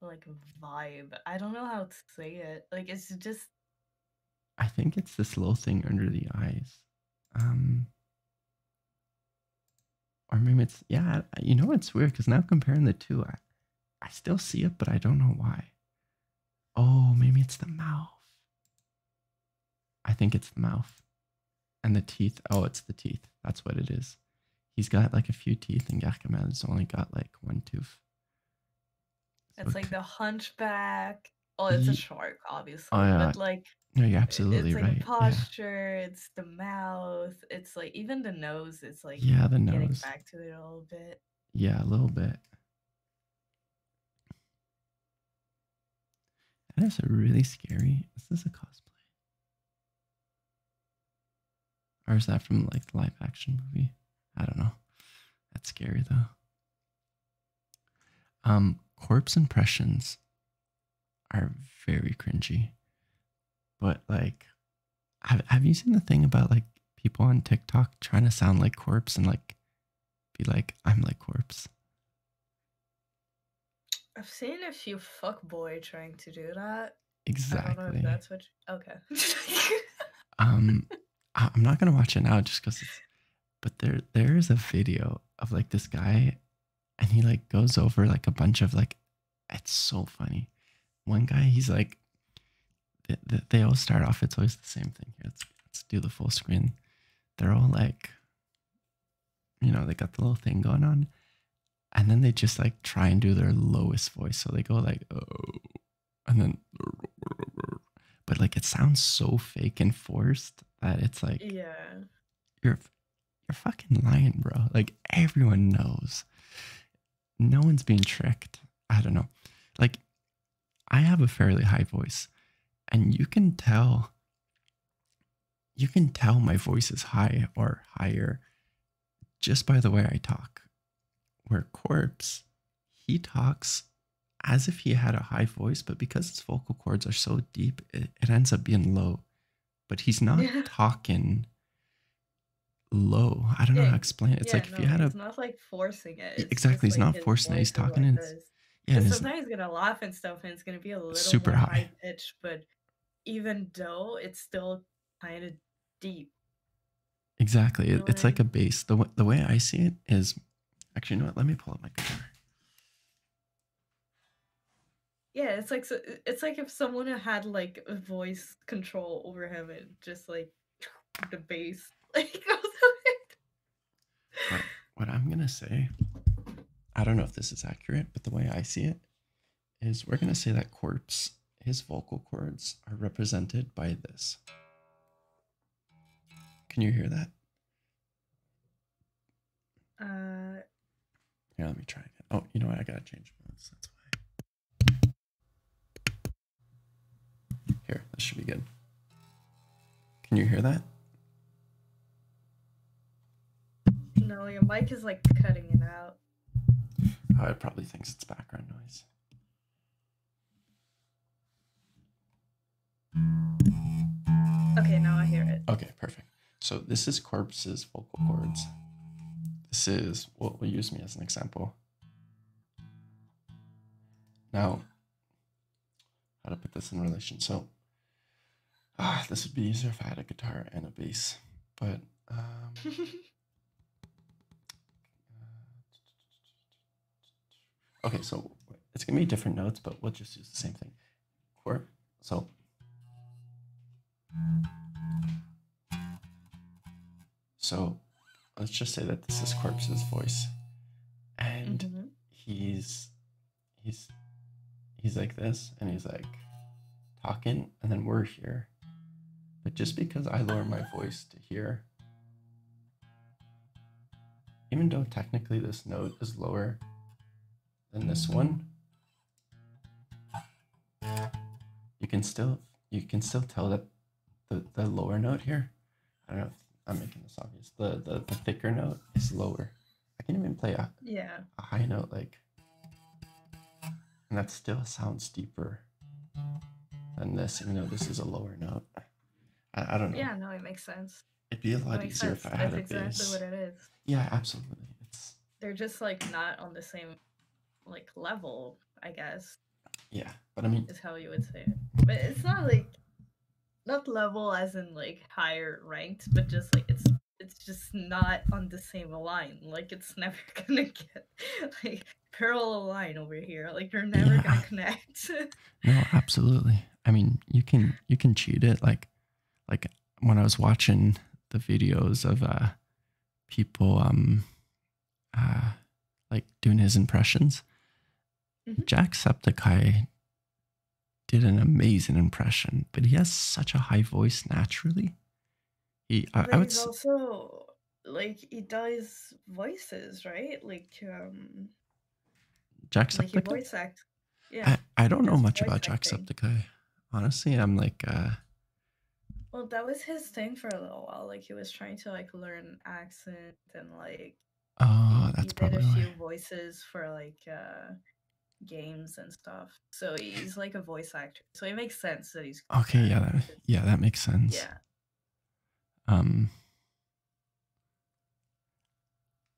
like vibe. I don't know how to say it. Like it's just I think it's this little thing under the eyes. Um or maybe it's yeah, you know it's weird because now comparing the two, I, I still see it, but I don't know why. Oh, maybe it's the mouth. I think it's the mouth. And the teeth. Oh, it's the teeth. That's what it is he's got like a few teeth, and has only got like one tooth. It's like the hunchback. Oh, it's a shark, obviously. Oh, yeah. But like no, you're absolutely it's like posture, it's the mouth, it's like even the nose, it's like yeah, the nose. Getting back to it a little bit. Yeah, a little bit. That is really scary. Is this a cosplay? Or is that from like the live action movie? I don't know. That's scary though. Um, corpse impressions are very cringy. But like have have you seen the thing about like people on TikTok trying to sound like corpse and like be like, I'm like corpse? I've seen a few fuck boy trying to do that. Exactly. that's what. okay. <laughs> um, I, am not gonna watch it now just because But there, there is a video of like this guy, and he like goes over like a bunch of like. It's so funny. One guy, he's like. They, all start off. It's always the same thing here. let's do the full screen. They're all like. You know they got the little thing going on, and then they just like try and do their lowest voice so they go like oh and then but like it sounds so fake and forced that it's like yeah you're you're fucking lying bro like everyone knows no one's being tricked i don't know like i have a fairly high voice and you can tell you can tell my voice is high or higher just by the way I talk. Where Corpse, he talks as if he had a high voice, but because his vocal cords are so deep, it, ends up being low. But he's not <laughs> talking low. I don't know how to explain it. It's like if you had a. It's not like forcing it. exactly. He's not forcing it. He's talking and in. Yeah, and sometimes he's gonna laugh and stuff, and it's gonna be a little super high pitch. But even though it's still I had a deep. Exactly. it's like a bass. The, the way I see it is actually, you know what? Let me pull up my guitar. Yeah, it's like it's like if someone had like a voice control over him and just like the bass <laughs> like What I'm gonna say, I don't know if this is accurate, but the way I see it is we're going to say that Corpse, his vocal cords are represented by this. Can you hear that? Uh. Here, let me try again. Oh, you know what? I got to change That's why. Here, that should be good. Can you hear that? No, your mic is like cutting it out. Oh, it probably thinks it's background noise. Okay, now I hear it. Okay, perfect. So this is Corpse's vocal cords. This is what will use me as an example. Now, how to put this in relation. So, ah, this would be easier if I had a guitar and a bass, but um, <laughs> Okay, so it's gonna be different notes, but we'll just use the same thing. Chord. So. So let's just say that this is Corpse's voice. And mm-hmm. he's he's he's like this and he's like talking and then we're here but just because I lower my voice to hear, even though technically this note is lower than this one, you can still you can still tell that the, the lower note here, I don't know I'm making this obvious, the, the, the thicker note is lower. I can even play a, yeah. a high note like and that still sounds deeper than this, even though this is a lower note. I, don't know. Yeah, no, it makes sense. It'd be a lot easier if I had a exactly bass. That's exactly what it is. Yeah, absolutely. It's they're just like not on the same like level, I guess. Yeah, but I mean, is how you would say it. But it's not like not level as in like higher ranked, but just like it's it's just not on the same line. Like it's <laughs> never gonna get like parallel line over here. Like you're never gonna <laughs> connect. <laughs> no, absolutely. I mean, you can you can cheat it. Like like when I was watching the videos of uh people um uh like doing his impressions, mm -hmm. Jacksepticeye did an amazing impression, but he has such a high voice naturally. He, I, would. also like he does voices, right? Like um. Jacksepticeye. Like voice act. Yeah. I, I don't know much about acting. Jacksepticeye. Honestly, I'm like. uh Well, that was his thing for a little while. Like he was trying to like learn accent and like. Oh, he, that's he probably. Did a few voices for like. uh games and stuff. So he's like a voice actor so it makes sense that he's okay. Yeah, that, yeah, that makes sense. Yeah. Um.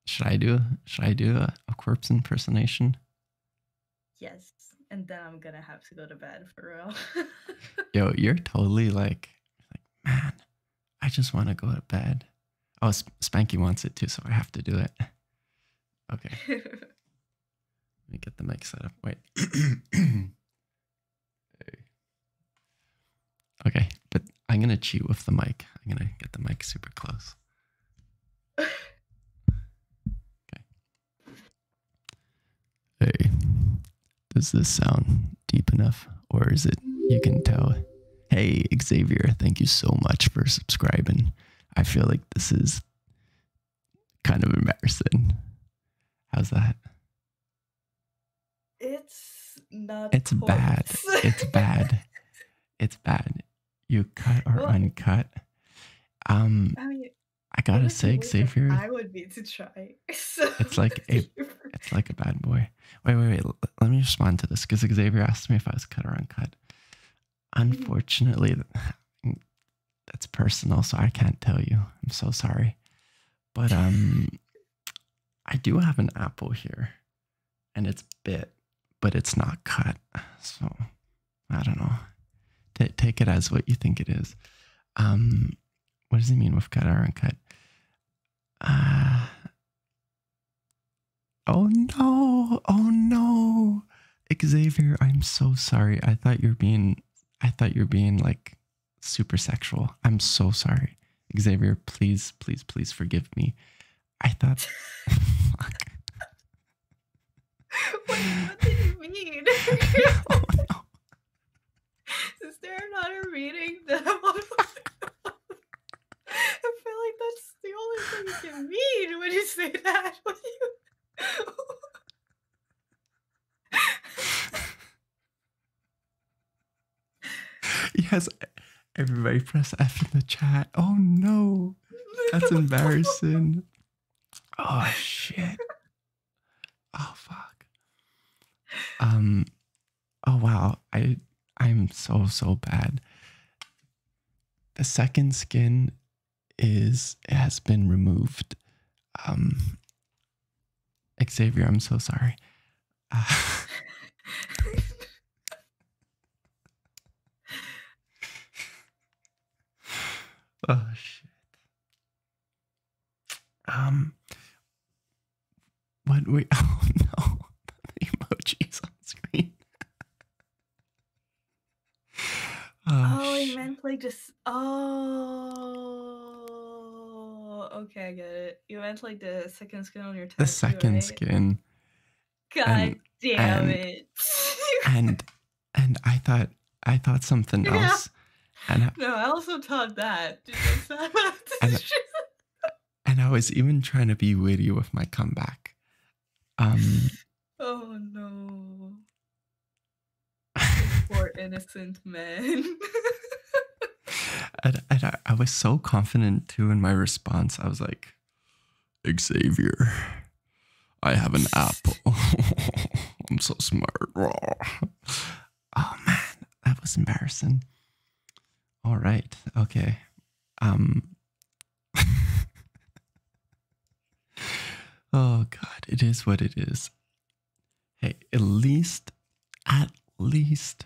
Should I do? Should I do a, a corpse impersonation? Yes, and then I'm gonna have to go to bed for real. <laughs> Yo, you're totally like, like man. I just want to go to bed. Oh, Spanky wants it too, so I have to do it. Okay. <laughs> Let me get the mic set up. Wait. <clears throat> Okay, but I'm gonna cheat with the mic. I'm gonna get the mic super close. <laughs> okay. Hey, does this sound deep enough, or is it? You can tell. Hey, Xavier, thank you so much for subscribing. I feel like this is kind of embarrassing. How's that? It's not. It's bad. It's <laughs> bad. it's bad. You cut or uncut. Um, I, mean, I gotta say, Xavier. I would be to try. <laughs> it's like a, it's like a bad boy. Wait, wait, wait. Let me respond to this because Xavier asked me if I was cut or uncut. Mm-hmm. Unfortunately, that's personal, so I can't tell you. I'm so sorry. But um I do have an apple here and it's bit, but it's not cut. So I don't know. T take it as what you think it is. Um what does it mean with cut or uncut? Uh Oh no. Oh no. Xavier, I'm so sorry. I thought you're being I thought you're being like super sexual. I'm so sorry. Xavier, please, please, please forgive me. I thought <laughs> What, did you mean? <laughs> Is there another reading that <laughs> I feel like that's the only thing you can mean when you say that. <laughs> yes, everybody press F in the chat. Oh no, that's embarrassing. Oh shit. Oh fuck. Um. Oh wow. I I'm so so bad. The second skin is has been removed. Um, Xavier, I'm so sorry. <laughs> oh shit. Um what we <laughs> oh no the emojis on screen. <laughs> oh, oh he meant like just oh okay, I get it. You meant like the second skin on your tattoo. The second skin. God damn it. and and I thought I thought something <laughs> else. no, I also thought that. <laughs> and, and I was even trying to be witty with my comeback. Um Oh no. <laughs> Poor innocent man. I, I was so confident too in my response. I was like, Xavier, I have an apple. <laughs> I'm so smart. <laughs> Oh man, that was embarrassing. All right. Okay. Um Oh god, it is what it is hey, at least, at least,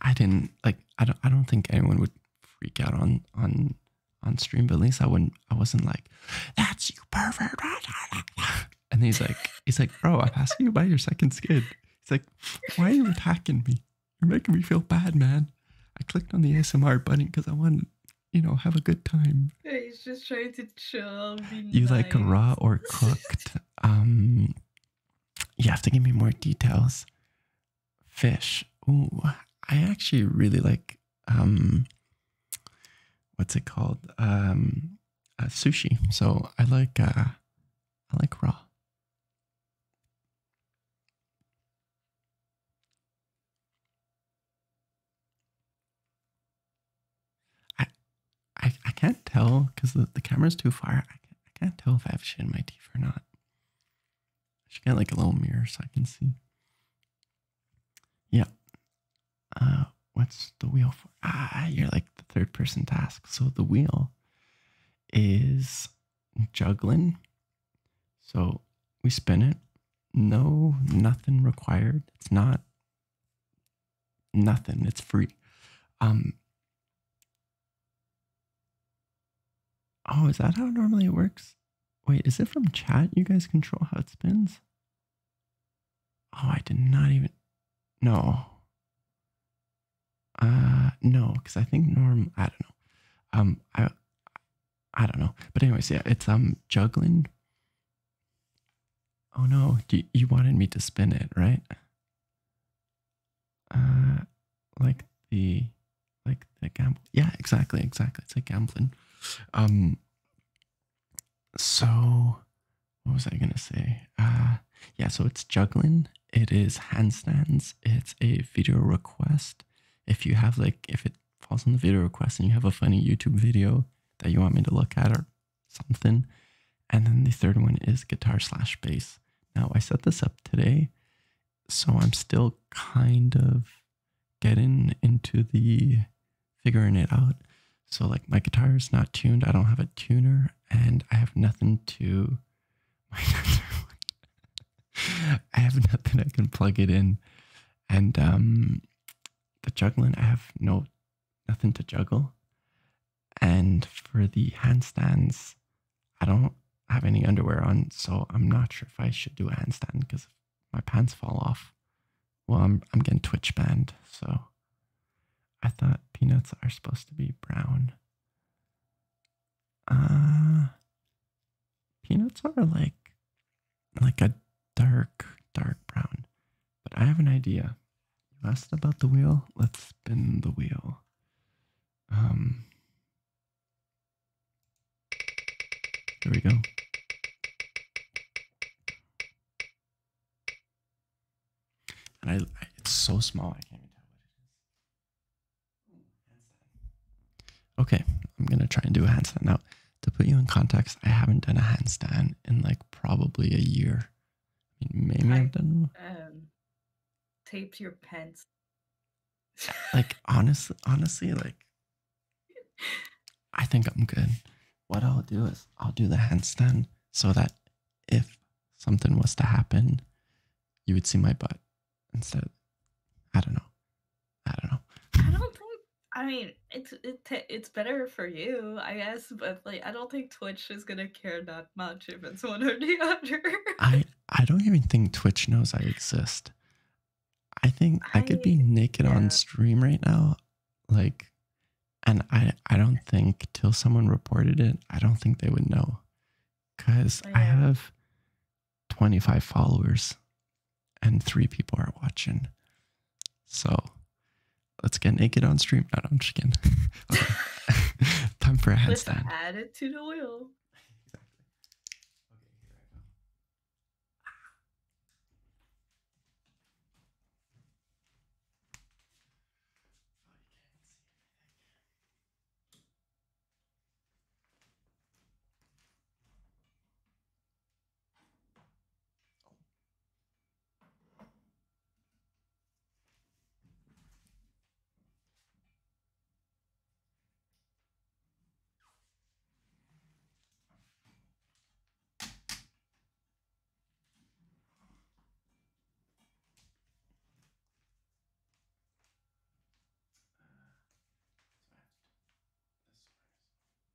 I didn't like. I don't. I don't think anyone would freak out on on on stream. But at least I wouldn't. I wasn't like, that's you pervert. <laughs> And he's like, he's like, bro, I'm asking you by your second skid. He's like, why are you attacking me? You're making me feel bad, man. I clicked on the ASMR button because I wanted, you know, have a good time. He's just trying to chill. you like raw or <laughs> cooked? um, you have to give me more details. Fish. Oh, I actually really like um, what's it called? Um, uh, sushi. So I like uh, I like raw. I I, I can't tell because the, the camera's too far. I can't, tell if I have shit in my teeth or not. I should get like a little mirror so I can see. Yeah. Uh, what's the wheel for? Ah, you're like the third person task. So the wheel is juggling. So we spin it. No, nothing required. It's not nothing. It's free. Um, oh, is that how normally it works? Wait, is it from chat? You guys control how it spins? Oh, I did not even. No. Uh, no, because I think norm. I don't know. Um, I, I don't know. But anyways, yeah, it's um juggling, Oh no, you, you wanted me to spin it, right? Uh, like the, like the gamble. Yeah, exactly, exactly. It's like gambling. Um, so what was I gonna say? Uh, yeah, so it's juggling. It is handstands. It's a video request. If you have like, if it falls on the video request and you have a funny YouTube video that you want me to look at or something. And then the third one is guitar slash bass. Now I set this up today, so I'm still kind of getting into the figuring it out. So like my guitar is not tuned. I don't have a tuner and I have nothing to <laughs> I have nothing I can plug it in. And um the juggling, I have no nothing to juggle. And for the handstands, I don't have any underwear on, so I'm not sure if I should do a handstand because if my pants fall off, well, I'm, I'm getting twitch banned. So I thought peanuts are supposed to be brown. Uh, peanuts are like like a dark, dark brown. But I have an idea. Last about the wheel, let's spin the wheel. Um, there we go. And I, it's so small I can't even tell what it is. Okay, I'm gonna try and do a handstand now. To put you in context, I haven't done a handstand in like probably a year. maybe I, have done. Um, taped your pants. like <laughs> honestly, honestly, like I think I'm good. What I'll do is I'll do the hands then, so that if something was to happen, you would see my butt instead. I don't know. I don't know. I mean, it's it it's better for you, I guess, but like I don't think Twitch is gonna care that much if it's one or the <laughs> other. I I don't even think Twitch knows I exist. I think I, could be naked on stream right now, like, and I I don't think till someone reported it, I don't think they would know, cause I have twenty five followers, and three people are watching, so Let's get naked on stream. not on chicken. Time for a headstand. add it to the oil. Oh. Uh, that's right. That's right.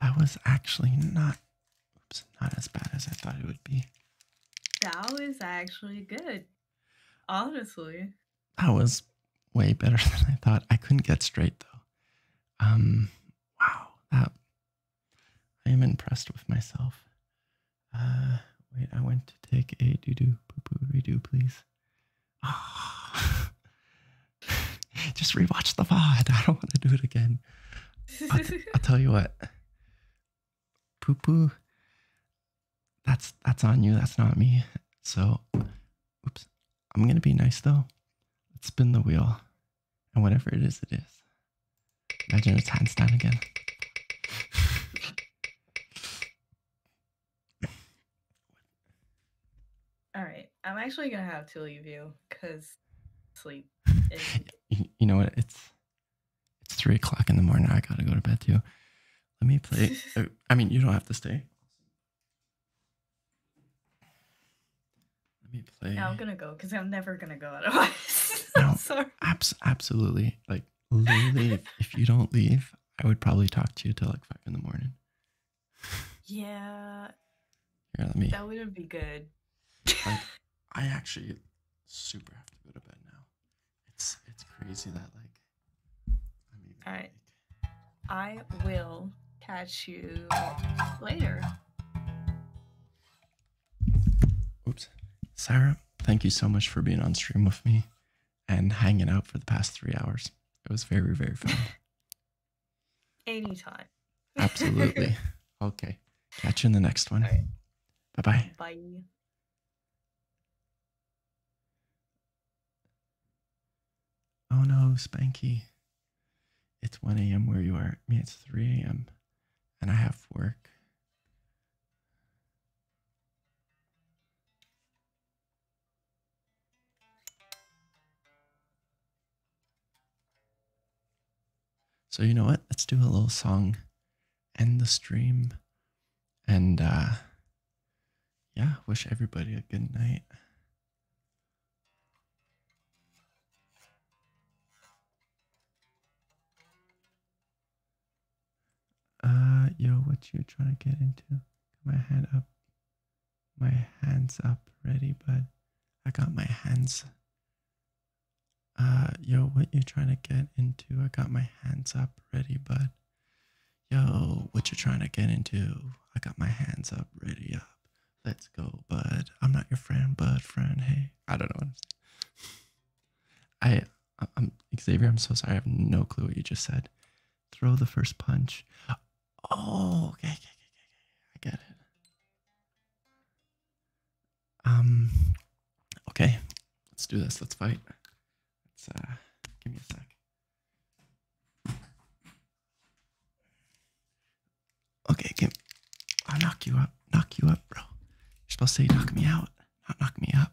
That was actually not, oops, not as bad as I thought it would be. That was actually good. Honestly. That was way better <laughs> than I thought. I couldn't get straight though. Um wow, that I am impressed with myself. Uh wait, I went to take a doo-doo poo redo, please. Ah. <laughs> <laughs> Just rewatch the pod. I don't want to do it again. I'll, tell you what. Poo poo. That's that's on you. That's not me. So, oops. I'm gonna be nice though. Let's spin the wheel, and whatever it is, it is. Imagine it's Einstein again. <laughs> All right. I'm actually gonna have to leave you because sleep. <laughs> you know what? It's it's three o'clock in the morning. I gotta go to bed You Let me play. <laughs> Uh, I mean, you don't have to stay. Let me play. I'm gonna go because I'm never gonna go out of otherwise. <laughs> no, sorry. Abs- absolutely. Like leave. if you don't leave, I would probably talk to you till like five in the morning. Yeah. Here, let me. That wouldn't be good. like, <laughs> I actually super have to go to bed now. It's it's crazy that like All right. I will catch you later. Oops, Sarah. Thank you so much for being on stream with me and hanging out for the past three hours. It was very very fun. <laughs> Anytime. Absolutely. <laughs> okay. Catch you in the next one. Bye bye. Oh no, Spanky. It's 1 a.m. where you are. I it's 3 a.m. and I have work. So, you know what? Let's do a little song, end the stream, and uh, yeah, wish everybody a good night. Uh, yo, what you trying to get into? my head up my hands up ready, bud. I got my hands. Uh, yo, what you trying to get into? I got my hands up ready, bud. yo, what you trying to get into? I got my hands up ready up. Let's go, bud. I'm not your friend, bud. Friend, hey. I don't know. <laughs> I, I'm Xavier. I'm so sorry. I have no clue what you just said. Throw the first punch. Oh, okay, okay, okay, I get it. Um, okay, let's do this. Let's fight. Let's uh, give me a sec. Okay, give. I'll knock you up. Knock you up, bro. You're supposed to say knock me out, not knock me up.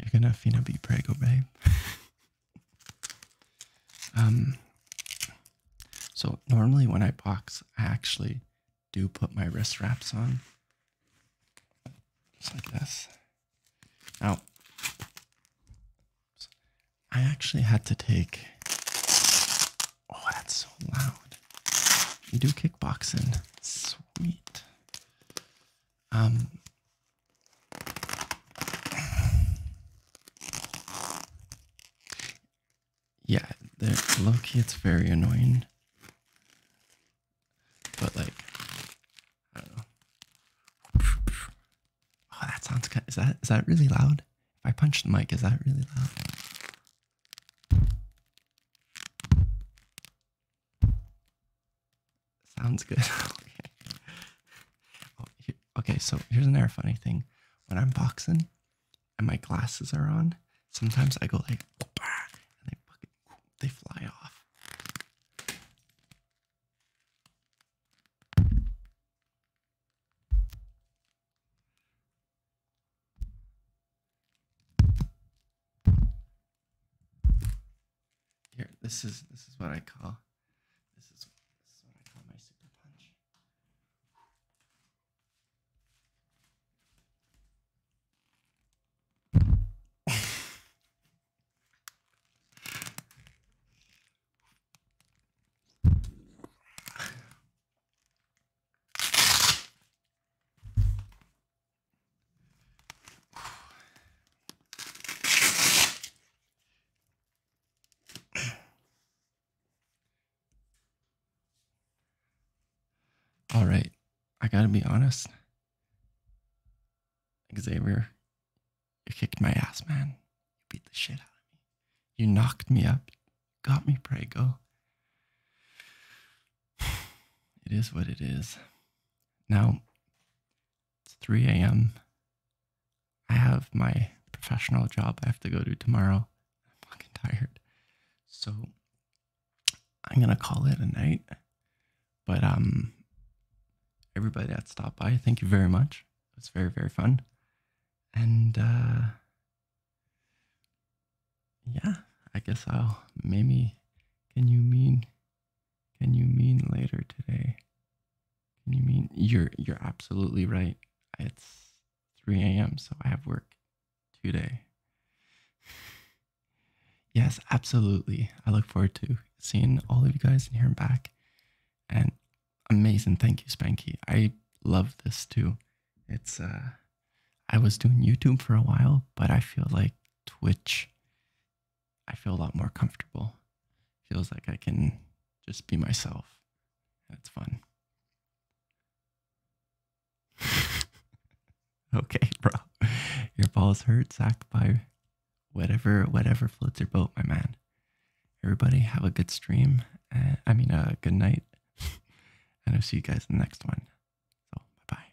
You're gonna Fina be Prego, babe. <laughs> um, so normally when I box, I actually do put my wrist wraps on, just like this. Now, I actually had to take. Oh, that's so loud. You do kickboxing, sweet. Um, yeah, they it's very annoying. But like, Oh, that sounds kind. Is that is that really loud? If I punch the mic, is that really loud? Sounds good. <laughs> okay. Oh, okay, so here's another funny thing. When I'm boxing and my glasses are on, sometimes I go like, and they fucking, they fly off. Here, this is this is what I call this is this is what I call my super punch. All right, I gotta be honest. Xavier, you kicked my ass, man. You beat the shit out of me. You knocked me up. got me prego. <sighs> It is what it is. Now, it's 3 a.m. I have my professional job I have to go to tomorrow. I'm fucking tired. So I'm gonna call it a night. But um everybody that stopped by, thank you very much. It was very, very fun. And uh yeah, I guess I'll maybe can you mean can you mean later today? Can you mean you're you're absolutely right. It's 3 a.m. so I have work today. <sighs> yes, absolutely. I look forward to seeing all of you guys and hearing back. And amazing, thank you, Spanky. I love this too. It's uh I was doing YouTube for a while, but I feel like Twitch I feel a lot more comfortable. Feels like I can just be myself. it's fun. <laughs> okay, bro. Your balls hurt, sacked by whatever, whatever floats your boat, my man. Everybody have a good stream. I mean, a good night. <laughs> and I'll see you guys in the next one. So, bye bye.